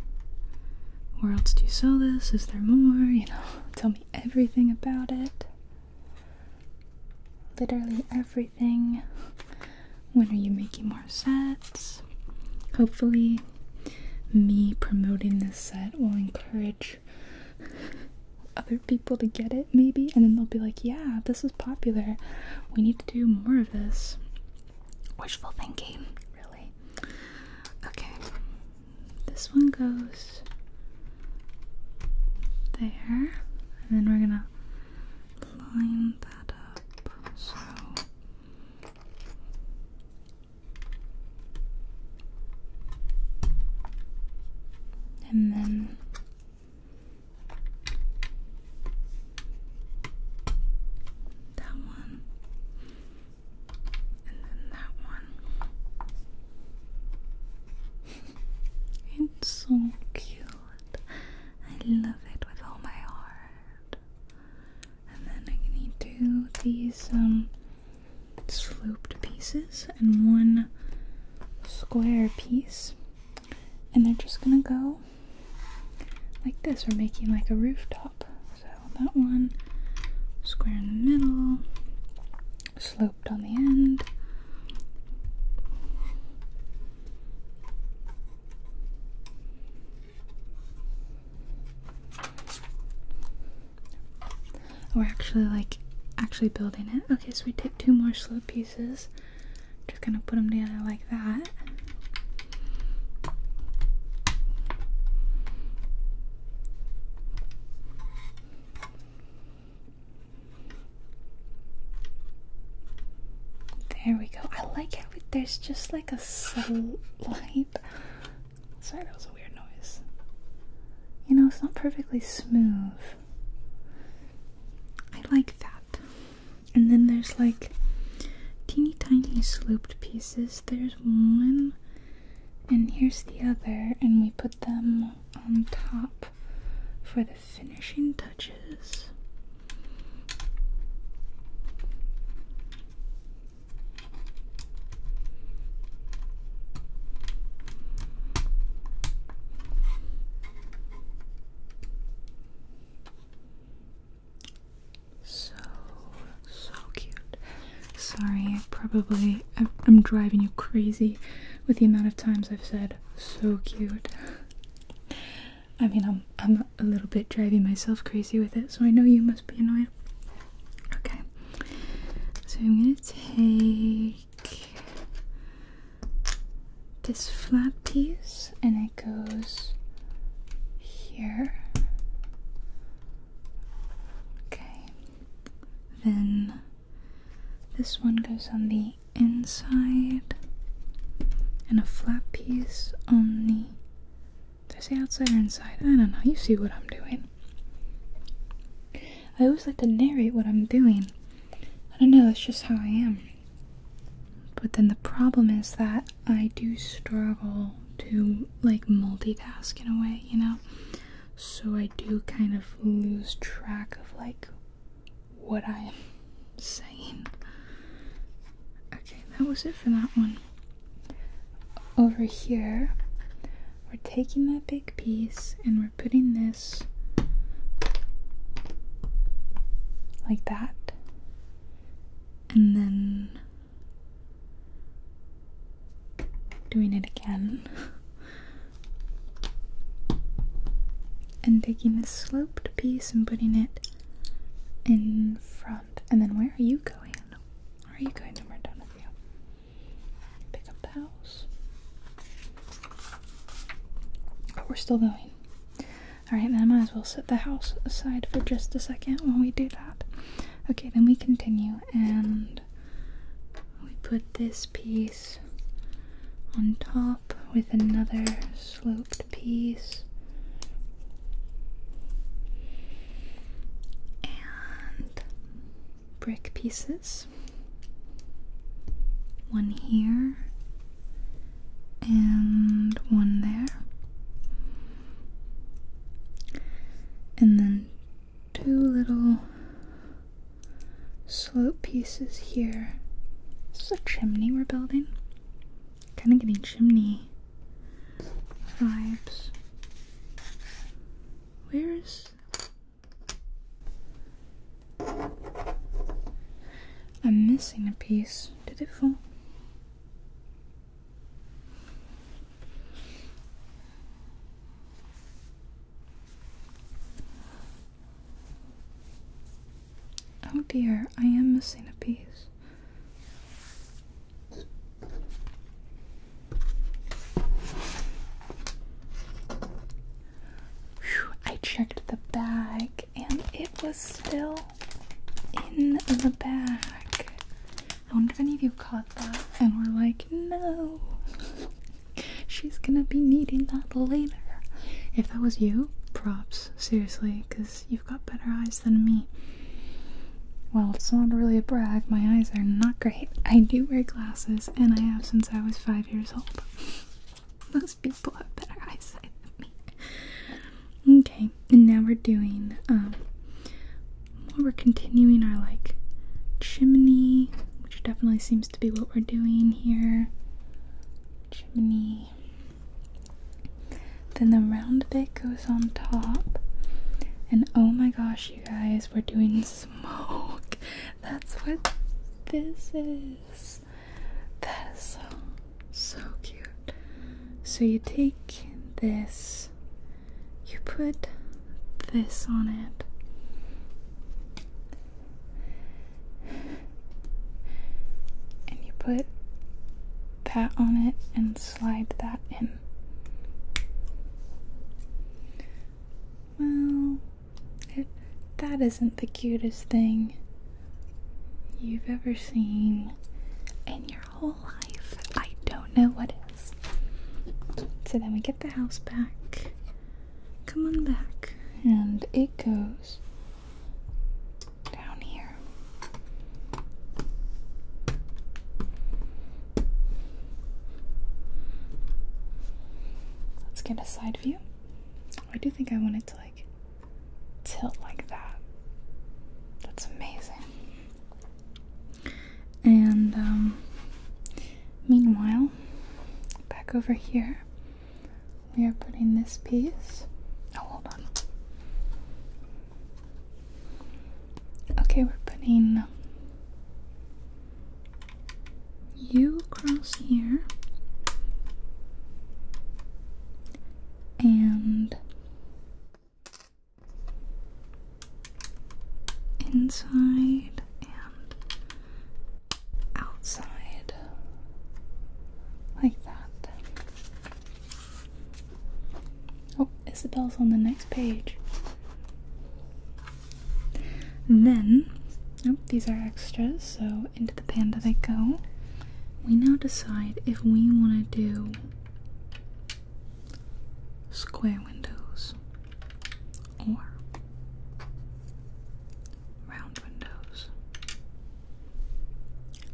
where else do you sell this? Is there more? You know, tell me everything about it. Literally everything. When are you making more sets? Hopefully, me promoting this set will encourage other people to get it, maybe, and then they'll be like, yeah, this is popular. We need to do more of this. Wishful thinking, really. Okay, this one goes there, and then we're gonna line that up. So and then that one and then that one. it's so cute. I love it with all my heart. And then I to do these um slooped pieces and one square piece. And they're just gonna go like this. We're making like a rooftop. So that one square in the middle, sloped on the end. We're actually like actually building it. Okay, so we take two more slope pieces. Just gonna put them together like that. There we go. I like how it, there's just like a slight. Sorry, that was a weird noise. You know, it's not perfectly smooth. I like that. And then there's like teeny tiny sloped pieces. There's one, and here's the other, and we put them on top for the finishing touches. So, so cute. Sorry, I probably I'm driving you crazy with the amount of times I've said so cute. I mean, I'm I'm a little bit driving myself crazy with it, so I know you must be annoyed. Okay, so I'm gonna take this flat piece, and it goes here Okay. Then this one goes on the inside and a flat piece on the did I say outside or inside? I don't know. You see what I'm doing. I always like to narrate what I'm doing. I don't know, that's just how I am. But then the problem is that I do struggle to like multitask in a way, you know? so I do kind of lose track of like what I'm saying. Okay, that was it for that one. Over here, we're taking that big piece and we're putting this like that, and then doing it again. and taking the sloped piece and putting it in front. And then where are you going? are you going when we're done with you? Pick up the house. But we're still going. Alright, then I might as well set the house aside for just a second while we do that. Okay, then we continue and we put this piece on top with another sloped piece. And brick pieces. One here and one there. And then two little slope pieces here. This is a chimney we're building. Kind of getting chimney vibes. Where is. I'm missing a piece. Did it fall? Oh dear, I am missing a piece. I checked the bag and it was still in the bag. I wonder if any of you caught that and were like, no. She's gonna be needing that later. If that was you, props, seriously, because you've got better eyes than me. Well, it's not really a brag, my eyes are not great. I do wear glasses, and I have since I was five years old. Most people have better eyesight than me. Okay, and now we're doing um, we're continuing our like chimney, which definitely seems to be what we're doing here. Chimney. Then the round bit goes on top. And oh my gosh, you guys, we're doing smoke. That's what this is. That is so cute. So you take this you put this on it. And you put that on it and slide that in. Well, it, that isn't the cutest thing you've ever seen in your whole life. I don't know what is. So then we get the house back. Come on back. And it goes down here. Let's get a side view. I do think I want it to like tilt like that. That's amazing. And um, meanwhile, back over here, we are putting this piece. Oh, hold on. Okay, we're putting U across here. And inside and outside like that. Oh, Isabel's on the next page. then, oh, these are extras, so into the panda they go. We now decide if we want to do square windows or round windows.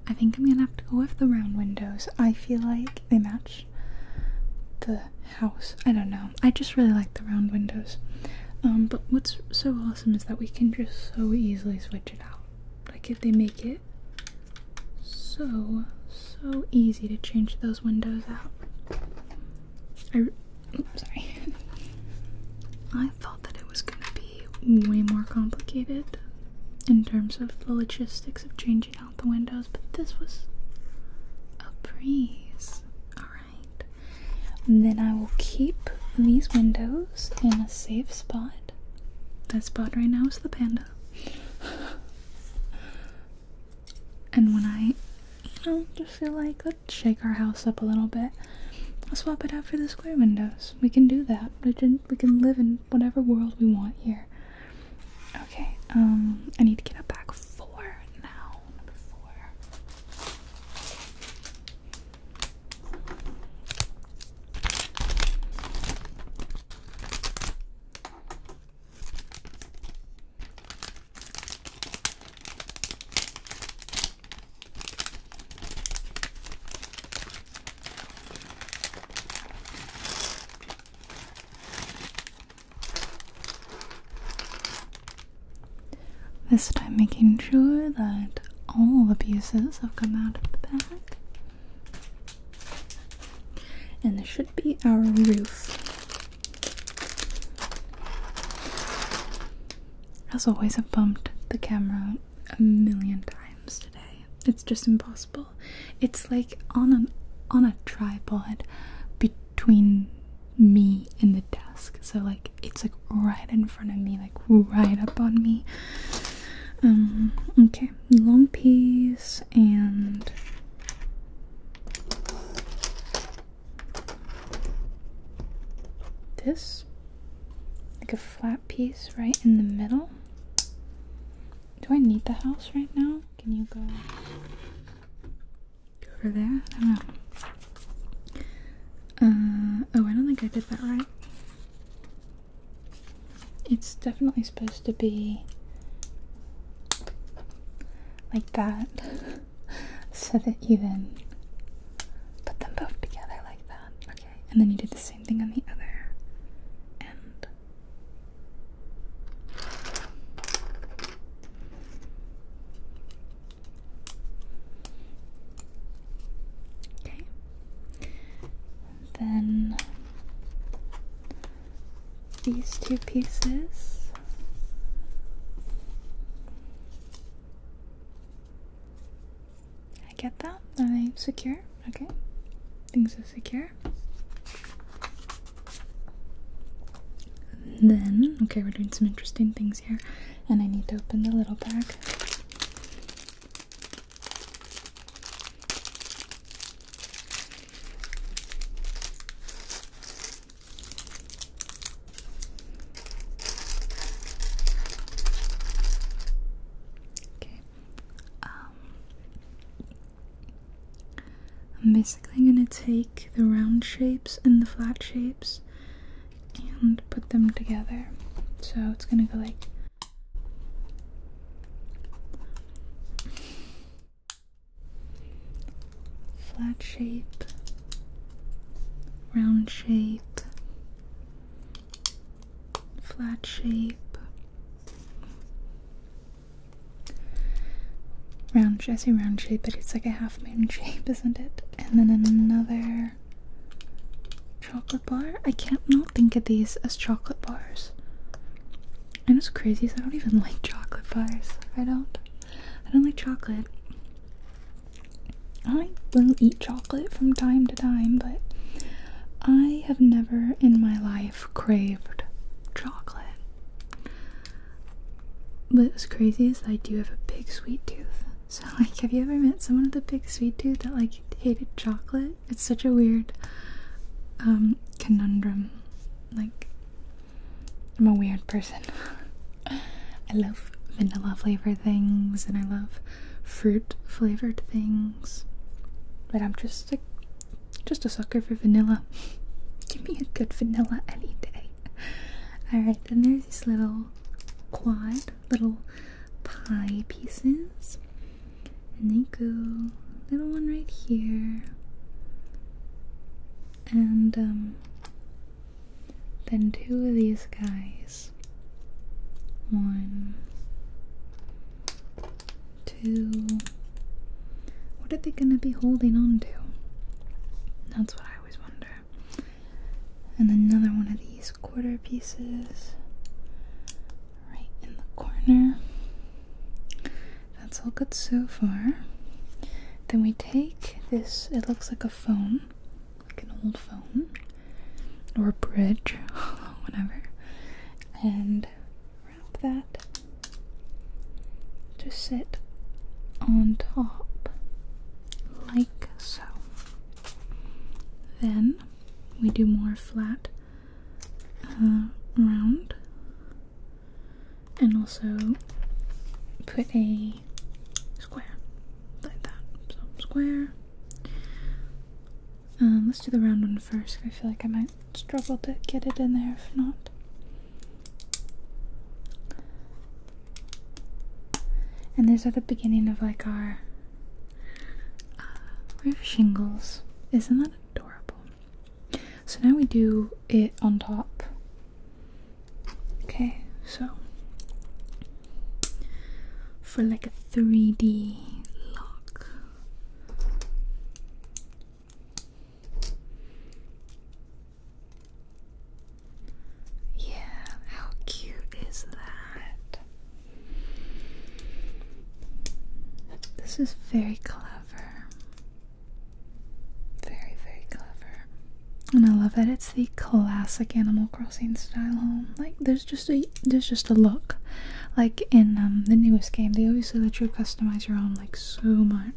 I think I'm gonna have to go with the round windows. I feel like they match the house. I don't know. I just really like the round windows. Um, but what's so awesome is that we can just so easily switch it out. Like if they make it so so easy to change those windows out. I, sorry. I thought that it was going to be way more complicated in terms of the logistics of changing out the windows, but this was a breeze. Alright. Then I will keep these windows in a safe spot. That spot right now is the panda. And when I, you know, just feel like let's shake our house up a little bit, I'll swap it out for the square windows. We can do that. We can we can live in whatever world we want here. Okay. Um, I need to get a back four now. Number four. This time making sure that all the pieces have come out of the bag. And this should be our roof. As always, I've bumped the camera a million times today. It's just impossible. It's like on an on a tripod between me and the desk. So like it's like right in front of me, like right up on me. Um okay, long piece and this like a flat piece right in the middle do I need the house right now can you go go over there uh, oh I don't think I did that right it's definitely supposed to be like that so that you then put them both together like that. Okay, and then you did the same thing on the other and Okay. Then these two pieces I get that. Are they secure? Okay. Things are secure. then, okay, we're doing some interesting things here. And I need to open the little bag. Okay. Um, I'm basically gonna take the round shapes and the flat shapes and put them together. So it's gonna go like flat shape, round shape, flat shape, round, I say round shape, but it's like a half moon shape, isn't it? And then another chocolate bar. I can't not think of these as chocolate bars. And it's crazy, as I don't even like chocolate bars. I don't. I don't like chocolate. I will eat chocolate from time to time, but I have never in my life craved chocolate. What's crazy is I do have a big sweet tooth. So, like, have you ever met someone with a big sweet tooth that, like, hated chocolate? It's such a weird um, conundrum. Like, I'm a weird person. I love vanilla flavored things and I love fruit flavored things. But I'm just a just a sucker for vanilla. Give me a good vanilla any day. Alright, then there's these little quad little pie pieces. And they go little one right here. And um then two of these guys. One, two. What are they gonna be holding on to? That's what I always wonder. And another one of these quarter pieces right in the corner. That's all good so far. Then we take this. It looks like a phone, like an old phone, or a bridge, whatever. And wrap that to sit on top, like so. Then we do more flat, uh, round and also put a square like that. So square. Um, let's do the round one first. I feel like I might struggle to get it in there if not. And these are the beginning of like our uh, roof shingles. Isn't that adorable? So now we do it on top Okay, so for like a 3D lock, Yeah, how cute is that? This is very clever. Very, very clever. And I love that it's the classic Animal Crossing style home. Like there's just a there's just a look. Like in um, the newest game, they obviously let you customize your home like so much.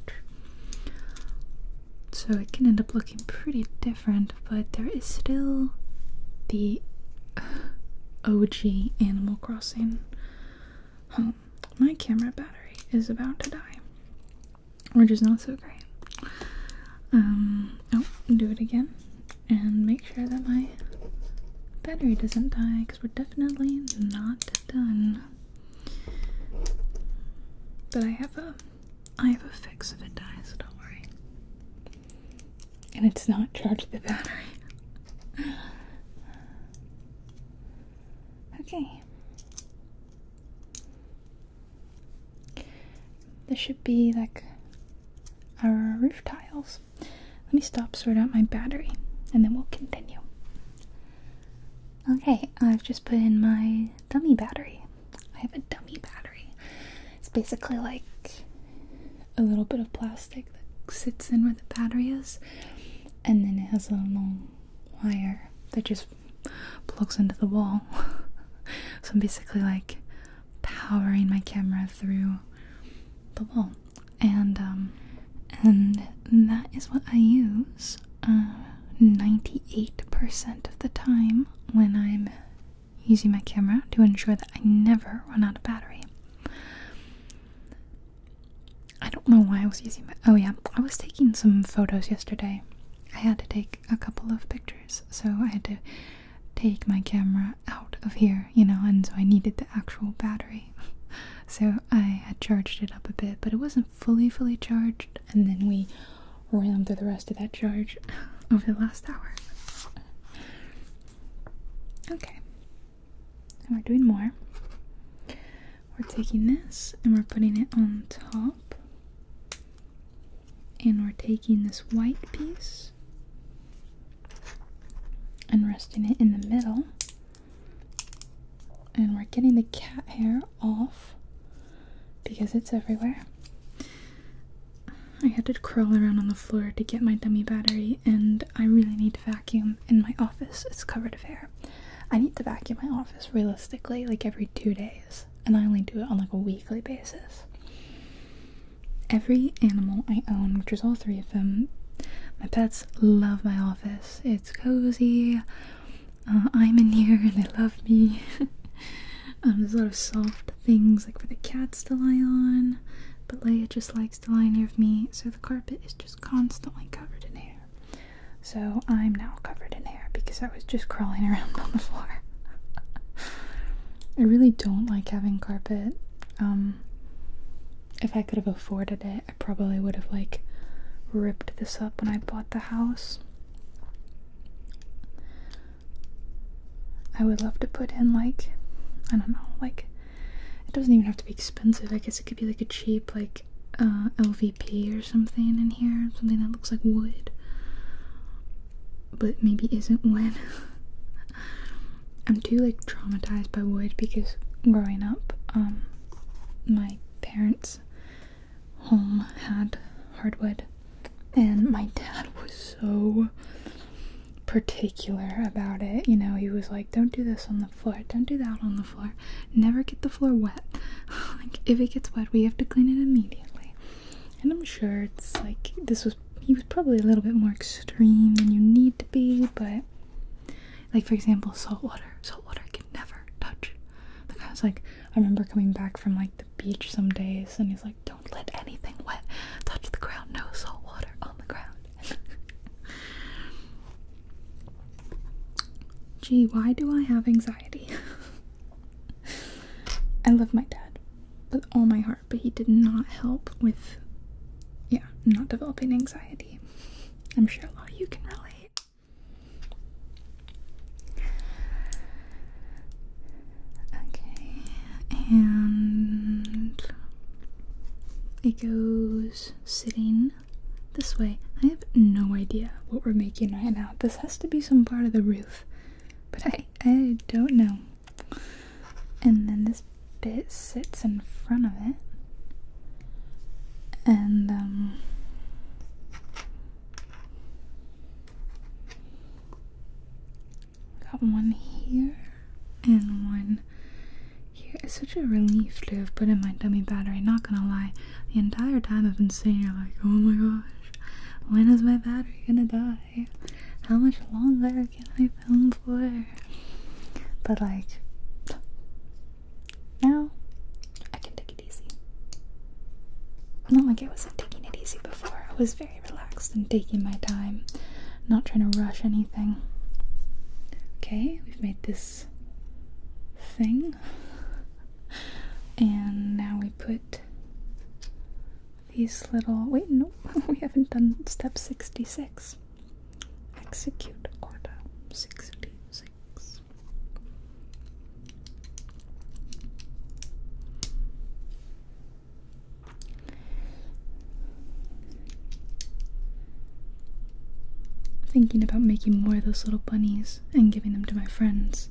So it can end up looking pretty different, but there is still the OG Animal Crossing home. My camera battery is about to die which is not so great. Um, oh, do it again and make sure that my battery doesn't die because we're definitely not done. But I have a I have a fix if it dies, don't worry. And it's not charged the battery. okay. This should be like our roof tiles. Let me stop, sort out my battery, and then we'll continue. Okay, I've just put in my dummy battery. I have a dummy battery. It's basically like a little bit of plastic that sits in where the battery is, and then it has a long wire that just plugs into the wall. so I'm basically like powering my camera through the wall. And um, and that is what I use 98% uh, of the time when I'm using my camera to ensure that I never run out of battery. I don't know why I was using my. Oh, yeah. I was taking some photos yesterday. I had to take a couple of pictures, so I had to take my camera out of here, you know, and so I needed the actual battery. so I had charged it up a bit, but it wasn't fully, fully charged, and then we ran through the rest of that charge over the last hour. Okay, and we're doing more we're taking this and we're putting it on top. And we're taking this white piece and resting it in the middle. And we're getting the cat hair off because it's everywhere. I had to crawl around on the floor to get my dummy battery, and I really need to vacuum in my office. It's covered of hair. I need to vacuum my office realistically, like every two days and I only do it on like a weekly basis. Every animal I own, which is all three of them, my pets love my office. It's cozy. Uh, I'm in here and they love me. Um, there's a lot of soft things like for the cats to lie on, but Leia just likes to lie near me, so the carpet is just constantly covered in hair. So I'm now covered in hair because I was just crawling around on the floor. I really don't like having carpet. Um, if I could have afforded it, I probably would have like ripped this up when I bought the house. I would love to put in like I don't know, like it doesn't even have to be expensive. I guess it could be like a cheap like uh, LVP or something in here, something that looks like wood, but maybe isn't wood. I'm too like traumatized by wood because growing up, um, my parents' home had hardwood, and my dad was so particular about it. You know, he was like, "Don't do this on the floor. Don't do that on the floor. Never get the floor wet. like if it gets wet, we have to clean it immediately." And I'm sure it's like this was he was probably a little bit more extreme than you need to be, but like for example, salt water. Salt water can never touch. The guy was like, I remember coming back from like the beach some days, and he's like, don't let anything wet touch the ground. No salt water on the ground. Gee, why do I have anxiety? I love my dad with all my heart, but he did not help with, yeah, not developing anxiety. I'm sure a lot of you can relate. Okay, and it goes sitting this way. I have no idea what we're making right now. This has to be some part of the roof, but I, I don't know. And then this bit sits in front of it. And, um, got one here and one here. It's such a relief to have put in my dummy battery, not gonna lie the entire time I've been sitting here like, oh my gosh, when is my battery gonna die? How much longer can I film for? But like, now I can take it easy. Not like I wasn't taking it easy before. I was very relaxed and taking my time, not trying to rush anything. Okay, we've made this thing and now we put these little wait no we haven't done step 66 execute order 66 Thinking about making more of those little bunnies and giving them to my friends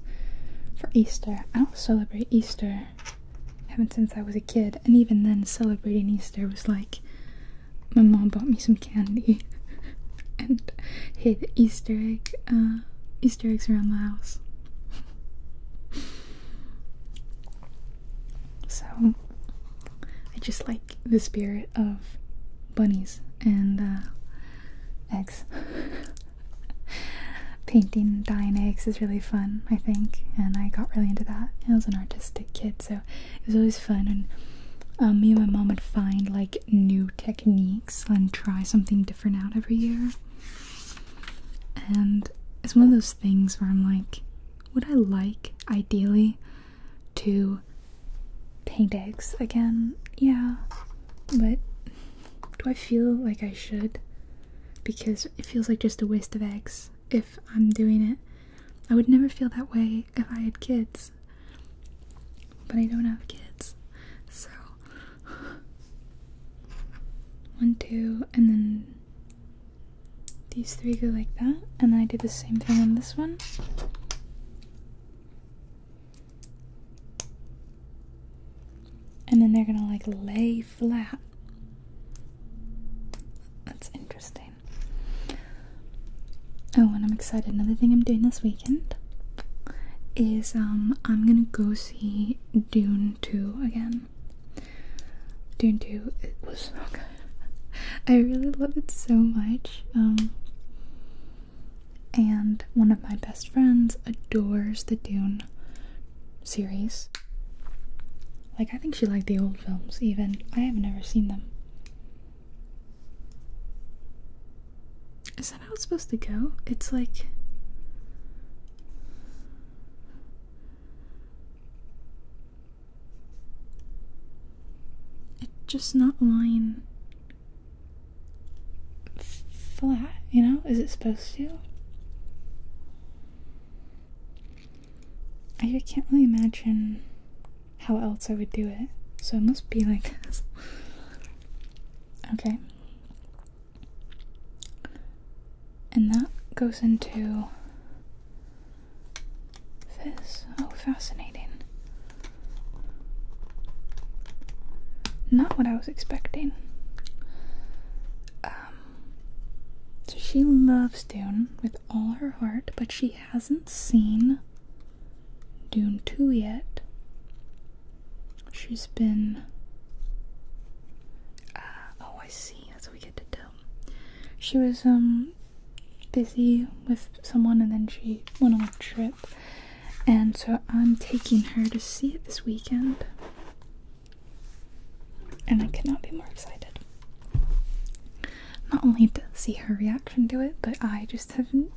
for Easter. I don't celebrate Easter. I haven't since I was a kid, and even then celebrating Easter was like my mom bought me some candy and hid Easter egg uh, Easter eggs around the house. so I just like the spirit of bunnies and uh, eggs. Painting dying eggs is really fun, I think, and I got really into that. I was an artistic kid, so it was always fun. And um, me and my mom would find like new techniques and try something different out every year. And it's one of those things where I'm like, would I like ideally to paint eggs again? Yeah, but do I feel like I should? Because it feels like just a waste of eggs if I'm doing it. I would never feel that way if I had kids. But I don't have kids. So. One, two, and then these three go like that. And then I do the same thing on this one and then they're gonna like lay flat. That's interesting. Oh, and I'm excited. Another thing I'm doing this weekend is um I'm gonna go see Dune 2 again. Dune 2 it was so good. I really love it so much. Um and one of my best friends adores the Dune series. Like, I think she liked the old films, even. I have never seen them. Is that how it's supposed to go? It's like. It's just not line flat, you know? Is it supposed to? I can't really imagine how else I would do it, so it must be like this. okay. And that goes into this. Oh, fascinating. Not what I was expecting. Um, so she loves Dune with all her heart, but she hasn't seen Dune 2 yet. She's been. Uh, oh, I see. That's what we get to tell. She was um busy with someone, and then she went on a trip and so I'm taking her to see it this weekend, and I cannot be more excited. Not only to see her reaction to it, but I just haven't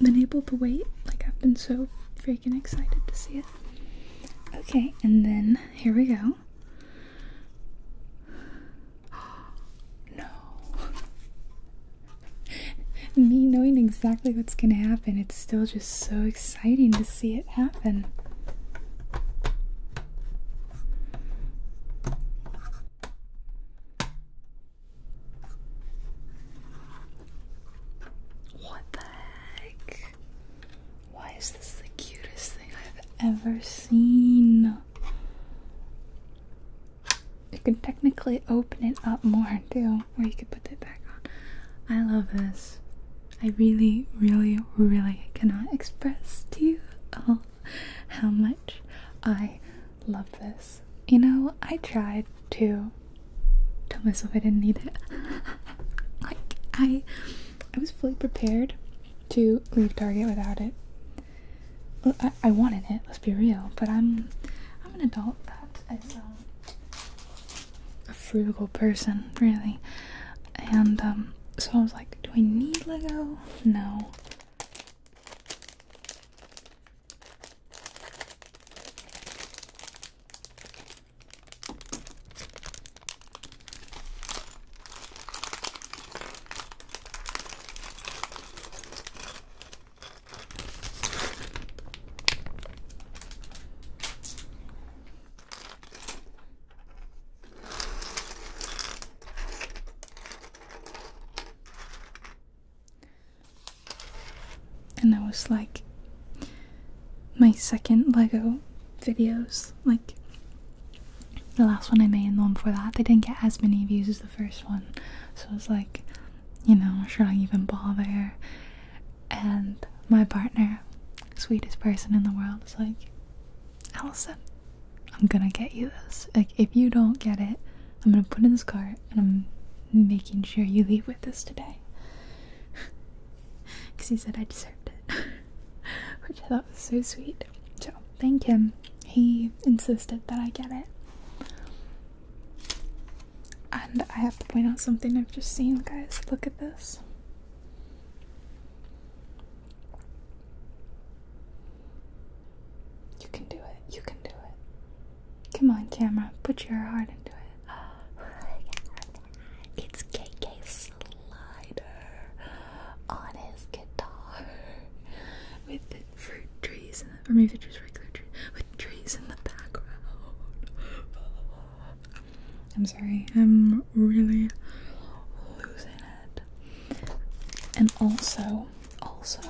been able to wait. Like, I've been so freaking excited to see it. Okay, and then here we go. No. me knowing exactly what's going to happen, it's still just so exciting to see it happen. What the heck? Why is this the cutest thing I've ever seen? You can technically open it up more too, where you could put that back on. I love this. I really, really, really cannot express to you all how much I love this. You know, I tried to tell myself I didn't need it. like I I was fully prepared to leave Target without it. I, wanted it, let's be real, but I'm I'm an adult that is um a frugal person, really. And um, so I was like, do I need Lego? No. And I was like my second Lego videos. Like the last one I made and the one before that, they didn't get as many views as the first one. So I was like, you know, should I even bother? And my partner, sweetest person in the world, is like, Allison, I'm gonna get you this. Like, if you don't get it, I'm gonna put in this cart and I'm making sure you leave with this today. Because he said I deserved it, which I thought was so sweet. So, thank him. He insisted that I get it. And I have to point out something I've just seen, guys. Look at this. You can do it. You can do it. Come on, camera. Put your heart into it. It's KK Slider on his guitar with the fruit trees and the, or maybe just with trees in the background. I'm sorry, I'm really losing it. And also, also,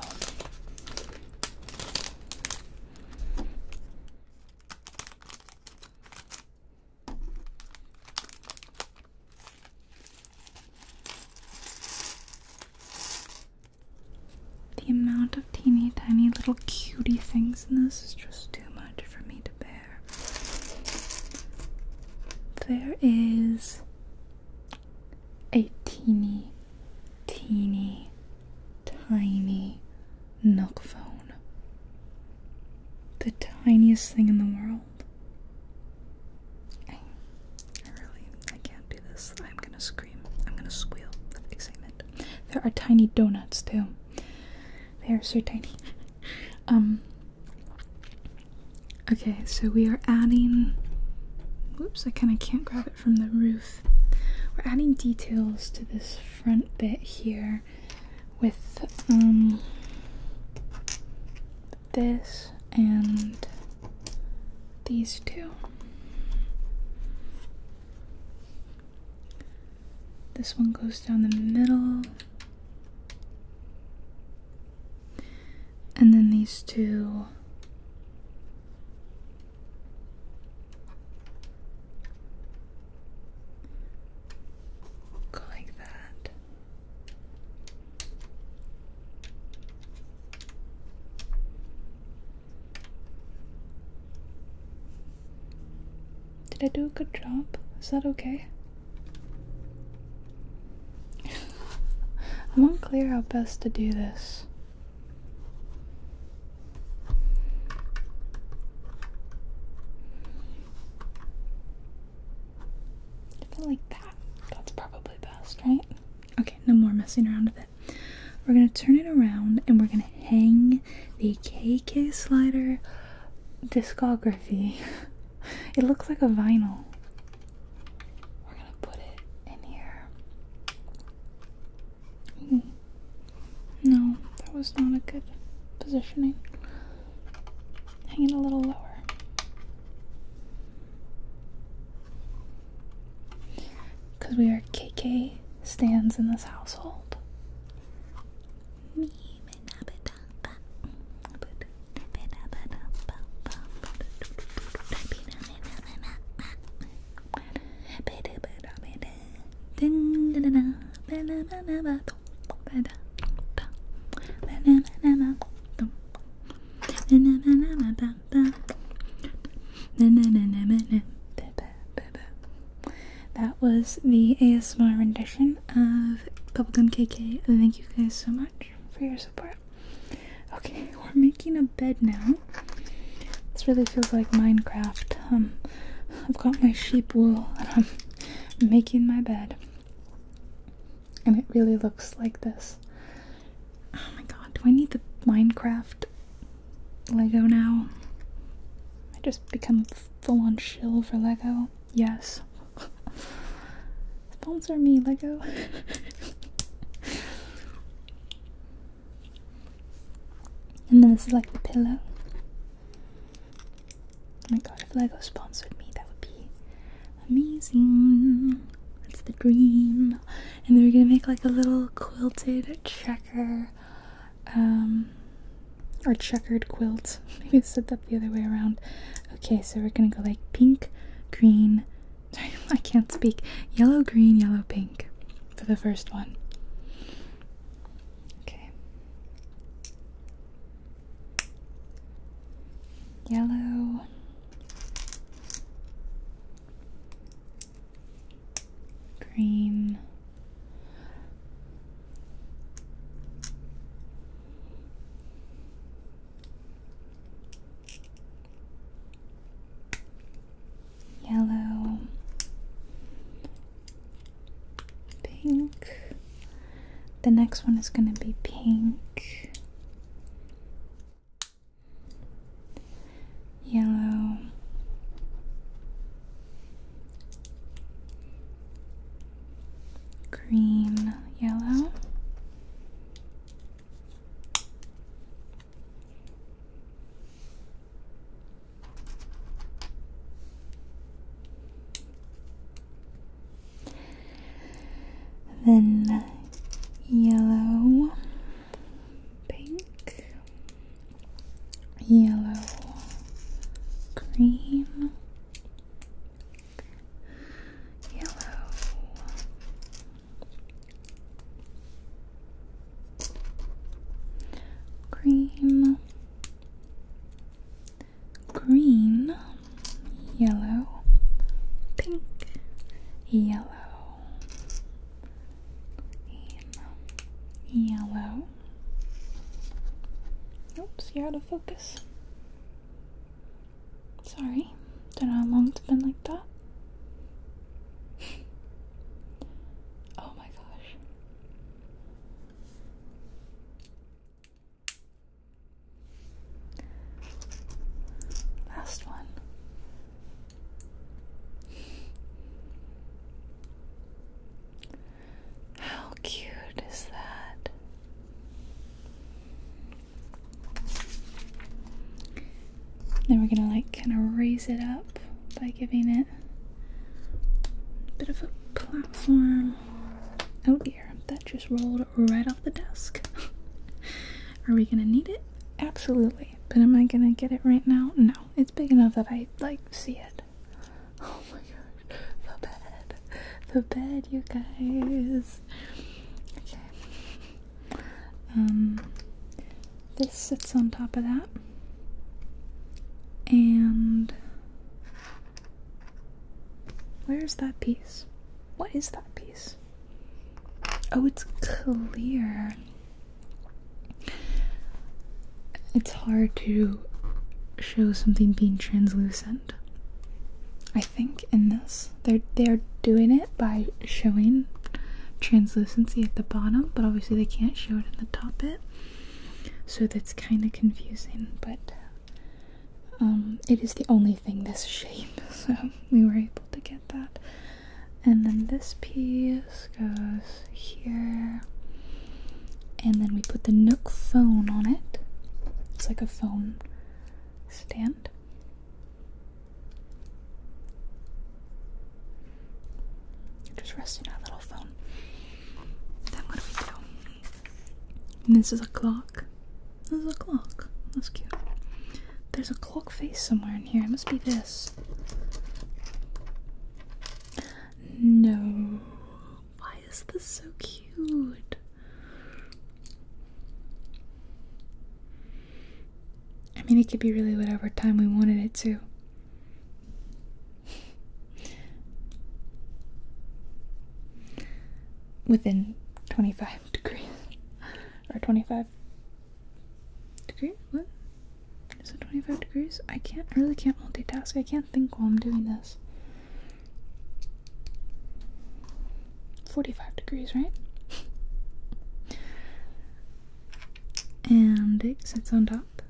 the amount of teeny tiny little cutie things in this is just too much for me to bear. There is a teeny, teeny, tiny milk phone. The tiniest thing in the world. I, really, I can't do this. I'm gonna scream. I'm gonna squeal with excitement. There are tiny donuts too. They are so tiny. Um, okay, so we are adding. Whoops! I kind of can't grab it from the roof. We're adding details to this front bit here, with um, this and these two. This one goes down the middle. And then these two like that. Did I do a good job? Is that okay? I'm unclear how best to do this. Something like that. That's probably best, right? Okay, no more messing around with it. We're gonna turn it around and we're gonna hang the KK Slider discography. it looks like a vinyl. We're gonna put it in here. Hmm. No, that was not a good positioning. Hang it a little lower. Because we are KK stands in this household. that was the ASMR rendition of Bubblegum KK. Thank you guys so much for your support. Okay, we're making a bed now. This really feels like Minecraft. Um, I've got my sheep wool and I'm making my bed. And it really looks like this. Oh my god, do I need the Minecraft Lego now. I just become full on shill for Lego. Yes. Sponsor me, Lego. and then this is like the pillow. Oh my god, if Lego sponsored me, that would be amazing. That's the dream. And then we're gonna make like a little quilted checker um, or checkered quilt. Maybe I said that the other way around. Okay, so we're gonna go like pink, green, sorry, I can't speak, yellow, green, yellow, pink for the first one. Okay. Yellow. Green, Yellow, pink. The next one is going to be pink, yellow. Green, yellow, then yellow, pink, yellow green, yellow. Cream, green, yellow, pink, yellow, yellow, Oops, you're out of focus. Sorry, don't know how long it's been like that. oh my gosh. Last one. How cute is that? Then we're gonna like kind of raise it up by giving it a bit of a platform. Oh dear, that just rolled right off the desk. Are we gonna need it? Absolutely. But am I gonna get it right now? No. It's big enough that I like see it. Oh my gosh. The bed. The bed, you guys. Okay. Um this sits on top of that. And where's that piece? What is that piece? Oh, it's clear. It's hard to show something being translucent. I think in this they're they're doing it by showing translucency at the bottom, but obviously they can't show it in the top bit. So that's kind of confusing, but um, it is the only thing this shape, so we were able to get that. And then this piece this goes here. And then we put the Nook phone on it. It's like a phone stand. Just resting our little phone. Then what do we do? And this is a clock. This is a clock. That's cute. There's a clock face somewhere in here. It must be this. No. Why is this so cute? I mean, it could be really whatever time we wanted it to. Within 25 degrees. Or 25 degrees? What? Is it 25 degrees? I can't, I really can't multitask. I can't think while I'm doing this. 45 degrees, right? and it sits on top.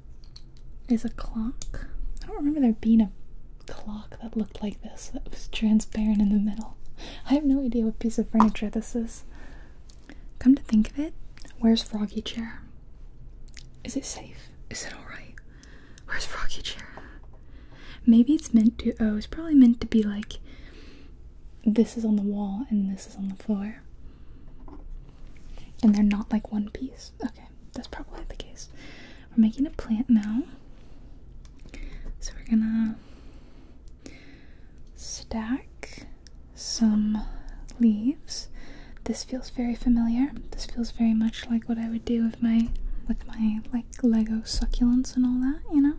Is a clock. I don't remember there being a clock that looked like this, that was transparent in the middle. I have no idea what piece of furniture this is. Come to think of it, where's Froggy Chair? Is it safe? Is it alright? Where's Rocky Chair? Maybe it's meant to. Oh, it's probably meant to be like this is on the wall and this is on the floor. And they're not like one piece. Okay, that's probably the case. We're making a plant now. So we're gonna stack some leaves. This feels very familiar. This feels very much like what I would do with my with my like Lego succulents and all that, you know?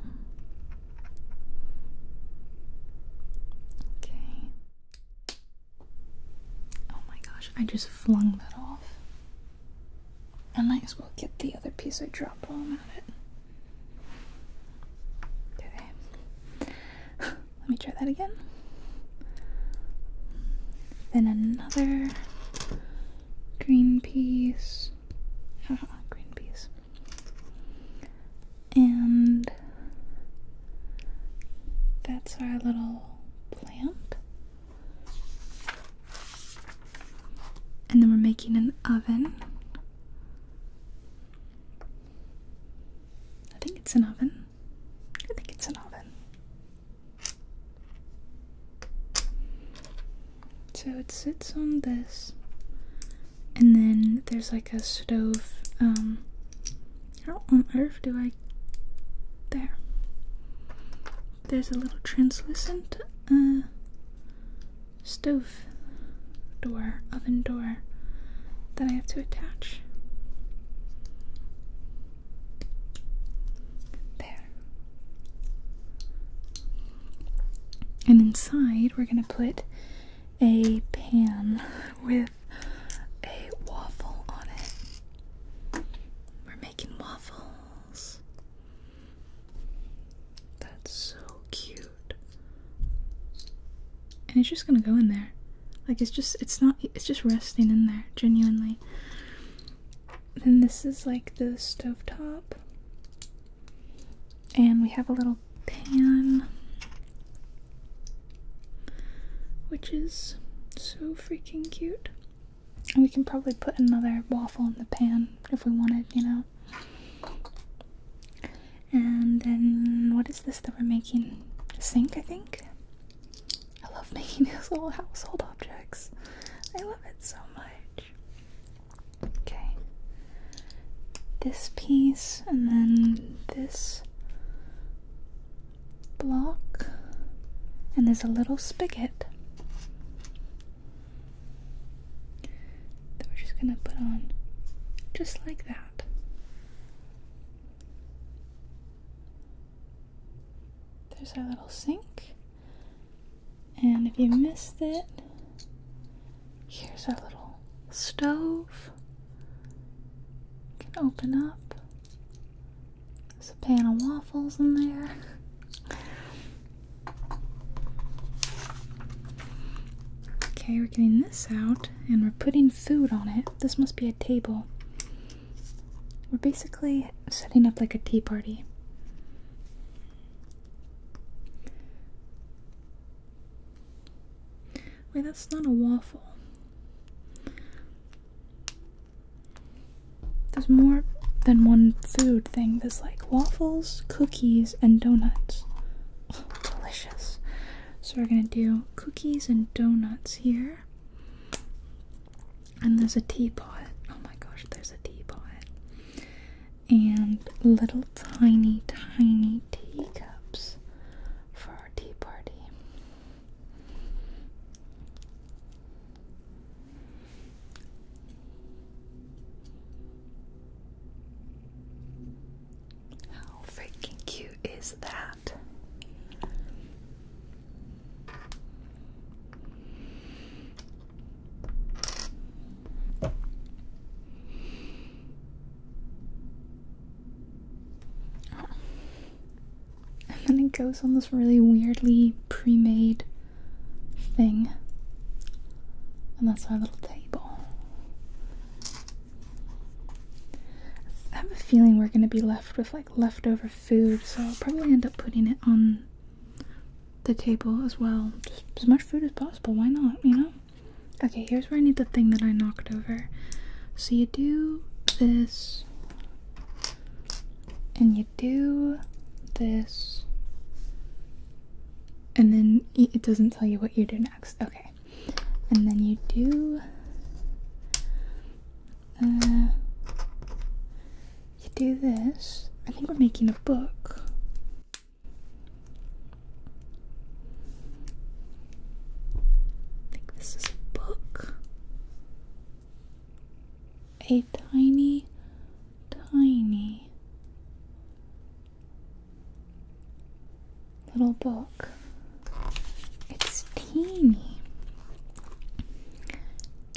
Okay. Oh my gosh, I just flung that off. I might as well get the other piece I dropped while I'm at it. Okay. Let me try that again. Then another green piece. green piece. And that's our little plant. And then we're making an oven. I think it's an oven. I think it's an oven. So it sits on this, and then there's like a stove. Um, how on earth do I? There. There's a little translucent uh, stove door, oven door that I have to attach. There. And inside, we're going to put a pan with a waffle on it. We're making waffles. That's so cute and it's just gonna go in there like it's just it's not it's just resting in there genuinely then this is like the stove top, and we have a little pan which is so freaking cute and we can probably put another waffle in the pan if we wanted you know and then what is this that we're making a sink i think I love making these little household objects. I love it so much. Okay. This piece and then this block. And there's a little spigot that we're just going to put on just like that. There's our little sink. And if you missed it, here's our little stove. You can open up. There's a pan of waffles in there. Okay, we're getting this out and we're putting food on it. This must be a table. We're basically setting up like a tea party. Wait, that's not a waffle. There's more than one food thing. There's like waffles, cookies, and donuts. delicious. So we're gonna do cookies and donuts here. And there's a teapot. Oh my gosh, there's a teapot. And little tiny, tiny teacups for our tea party. How freaking cute is Oh. And then it goes on this really weirdly pre-made thing. And that's our little table. I have a feeling we're gonna be left with leftover food, so I'll probably end up putting it on the table as well. Just as much food as possible, why not, you know? Okay, here's where I need the thing that I knocked over. So you do this, and you do this, and then it doesn't tell you what you do next. Okay. And then you do uh, you do this. I think we're making a book. I think this is a book. A tiny, tiny little book. It's teeny.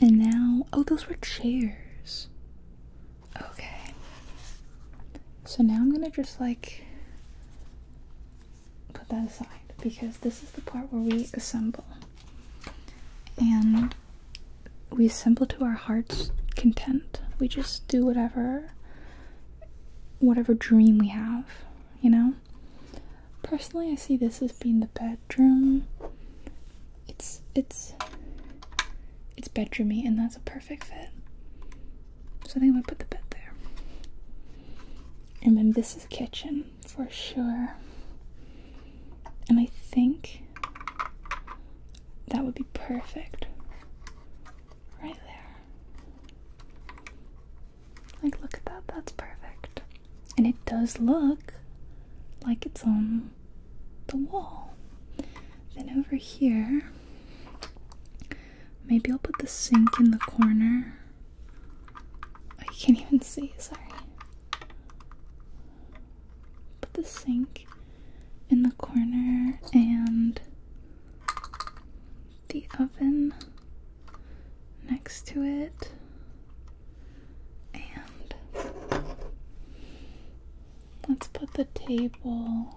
And now, oh, those were chairs. Okay. So now I'm gonna just like put that aside because this is the part where we assemble. And we assemble to our heart's content. We just do whatever whatever dream we have you know? Personally, I see this as being the bedroom. It's it's it's bedroomy, and that's a perfect fit. So I think I'm gonna put the bed there. And then this is kitchen for sure. And I think that would be perfect right there. Like, look at that. That's perfect. And it does look like it's on the wall. Then over here, maybe I'll put the sink in the corner. I oh, can't even see, sorry. Put the sink in the corner and the oven next to it and let's put the table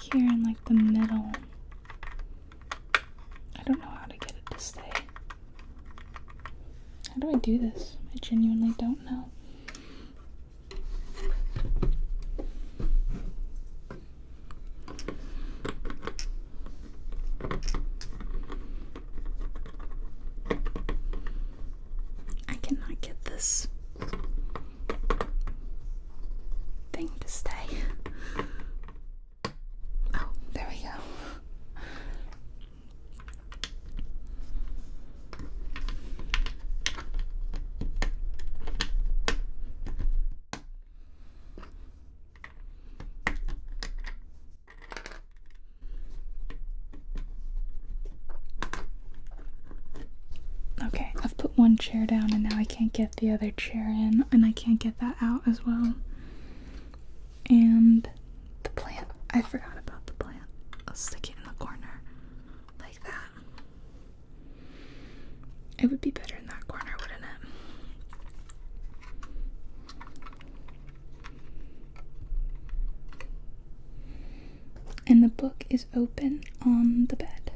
here in like the middle. I don't know how to get it to stay. How do I do this? I genuinely don't know. I cannot get this thing to stay. Oh, there we go. Okay, I've put one chair down and now I can't get the other chair in, and I can't get that out as well. And the plant. I forgot about the plant. I'll stick it in the corner like that. It would be better in that corner, wouldn't it? And the book is open on the bed.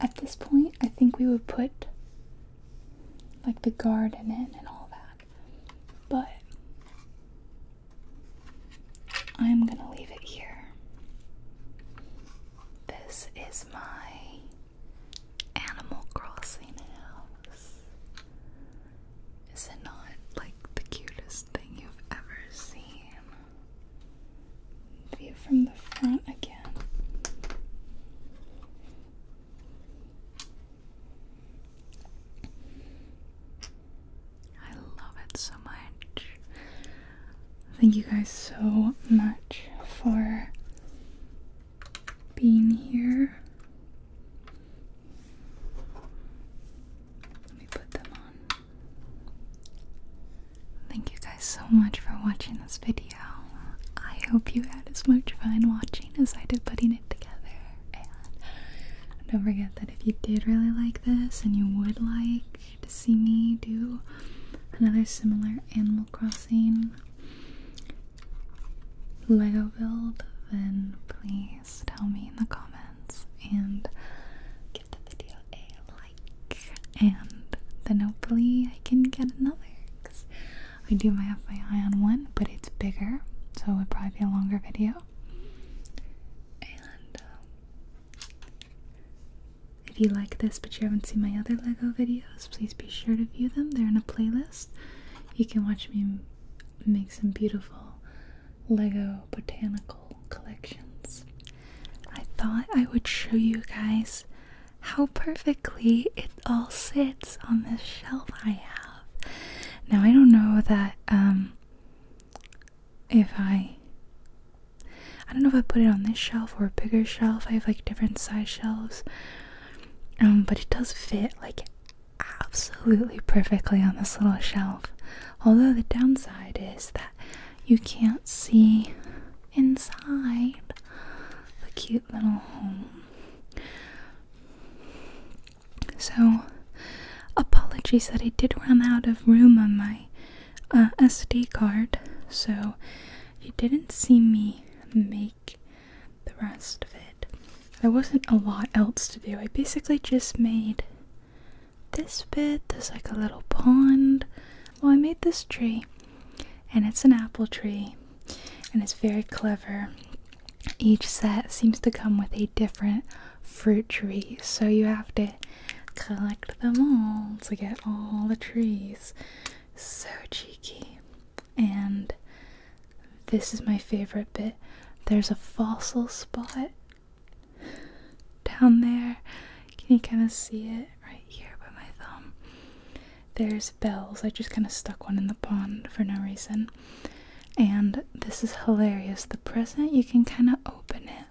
At this point, I think we would put like the garden in and all that. But I'm gonna leave it here. This is my Animal Crossing house. Is it not like the cutest thing you've ever seen? View from the front again. I love it so much. Thank you guys so much for being here. Let me put them on. Thank you guys so much for watching this video. I hope you had as much fun watching as I did putting it together. Don't forget that if you did really like this and you would like to see me do another similar Animal Crossing Lego build, then please tell me in the comments and give the video a like. And then hopefully I can get another. Cause I do have my eye on one, but it's bigger, so it would probably be a longer video. And um, if you like this but you haven't seen my other LEGO videos, please be sure to view them. They're in a playlist. You can watch me make some beautiful LEGO botanical collections. I thought I would show you guys how perfectly it all sits on this shelf I have. Now I don't know that um if I I don't know if I put it on this shelf or a bigger shelf. I have like different size shelves. Um, but it does fit like absolutely perfectly on this little shelf. Although the downside is that you can't see inside the cute little home. So Apologies that I did run out of room on my uh, SD card, so you didn't see me make the rest of it. There wasn't a lot else to do. I basically just made this bit. There's like a little pond. Well, I made this tree, and it's an apple tree, and it's very clever. Each set seems to come with a different fruit tree, so you have to collect them all to get all the trees. So cheeky. And this is my favorite bit. There's a fossil spot down there. Can you kind of see it right here by my thumb? There's bells. I just kind of stuck one in the pond for no reason. And this is hilarious. The present, you can kind of open it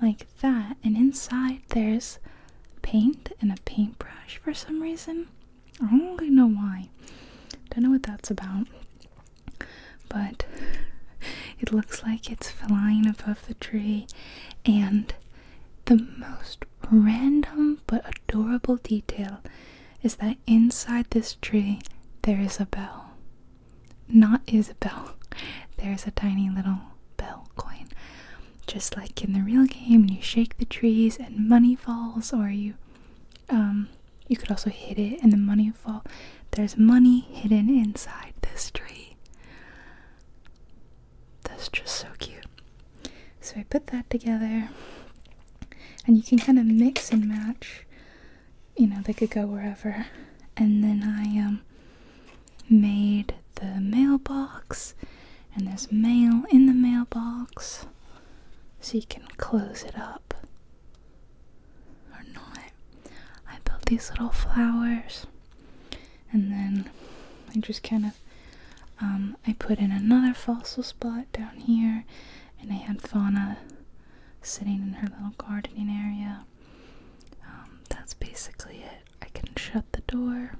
like that, and inside there's paint and a paintbrush for some reason. I don't really know why. Don't know what that's about. But it looks like it's flying above the tree, and the most random but adorable detail is that inside this tree there is a bell. Not Isabel. There's a tiny little bell coin. Just like in the real game, and you shake the trees and money falls, or you um you could also hit it and the money falls. There's money hidden inside this tree. That's just so cute. So I put that together and you can kind of mix and match you know, they could go wherever. And then I um, made the mailbox, and there's mail in the mailbox, so you can close it up or not. I built these little flowers, and then I just kind of um, I put in another fossil spot down here, and I had fauna sitting in her little gardening area. Um, that's basically it. I can shut the door.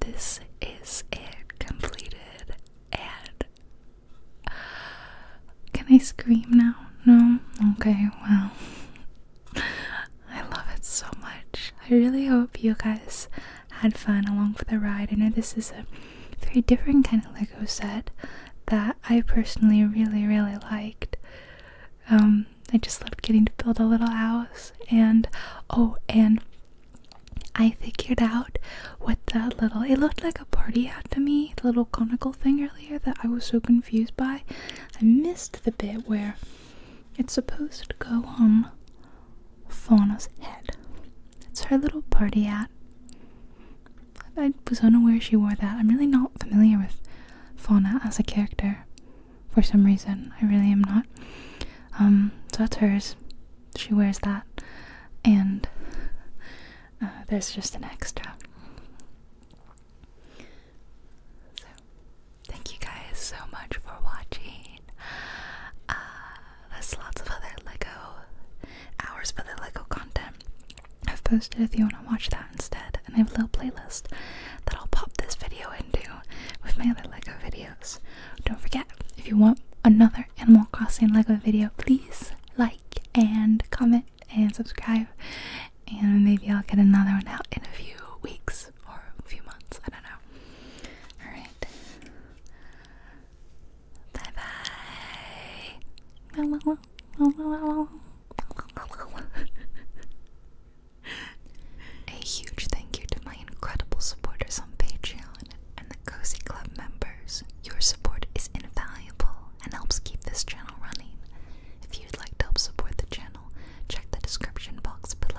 This is it completed and uh, can I scream now? No? Okay, well I love it so much. I really hope you guys had fun along for the ride. I know this is a very different kind of Lego set that I personally really, really liked. Um, I just loved getting to build a little house, and oh, and I figured out what the little it looked like a party hat to me, the little conical thing earlier that I was so confused by. I missed the bit where it's supposed to go on Fauna's head. It's her little party hat. I was unaware she wore that. I'm really not familiar with Fauna as a character for some reason. I really am not. Um, so that's hers. She wears that. And uh, there's just an extra. Thank you guys so much for watching. Uh, there's lots of other Lego hours for Lego content I've posted if you want to watch that instead. And I have a little playlist that I'll pop this video into with my other Lego videos. Don't forget, if you want another Animal Crossing Lego video, please like and comment and subscribe. And maybe I'll get another one out in a few weeks or a few months. I don't know. Alright. Bye bye. A huge thank you to my incredible supporters on Patreon and the Cozy Club members. Your support is invaluable and helps keep this channel running. If you'd like to help support the channel, check the description box below.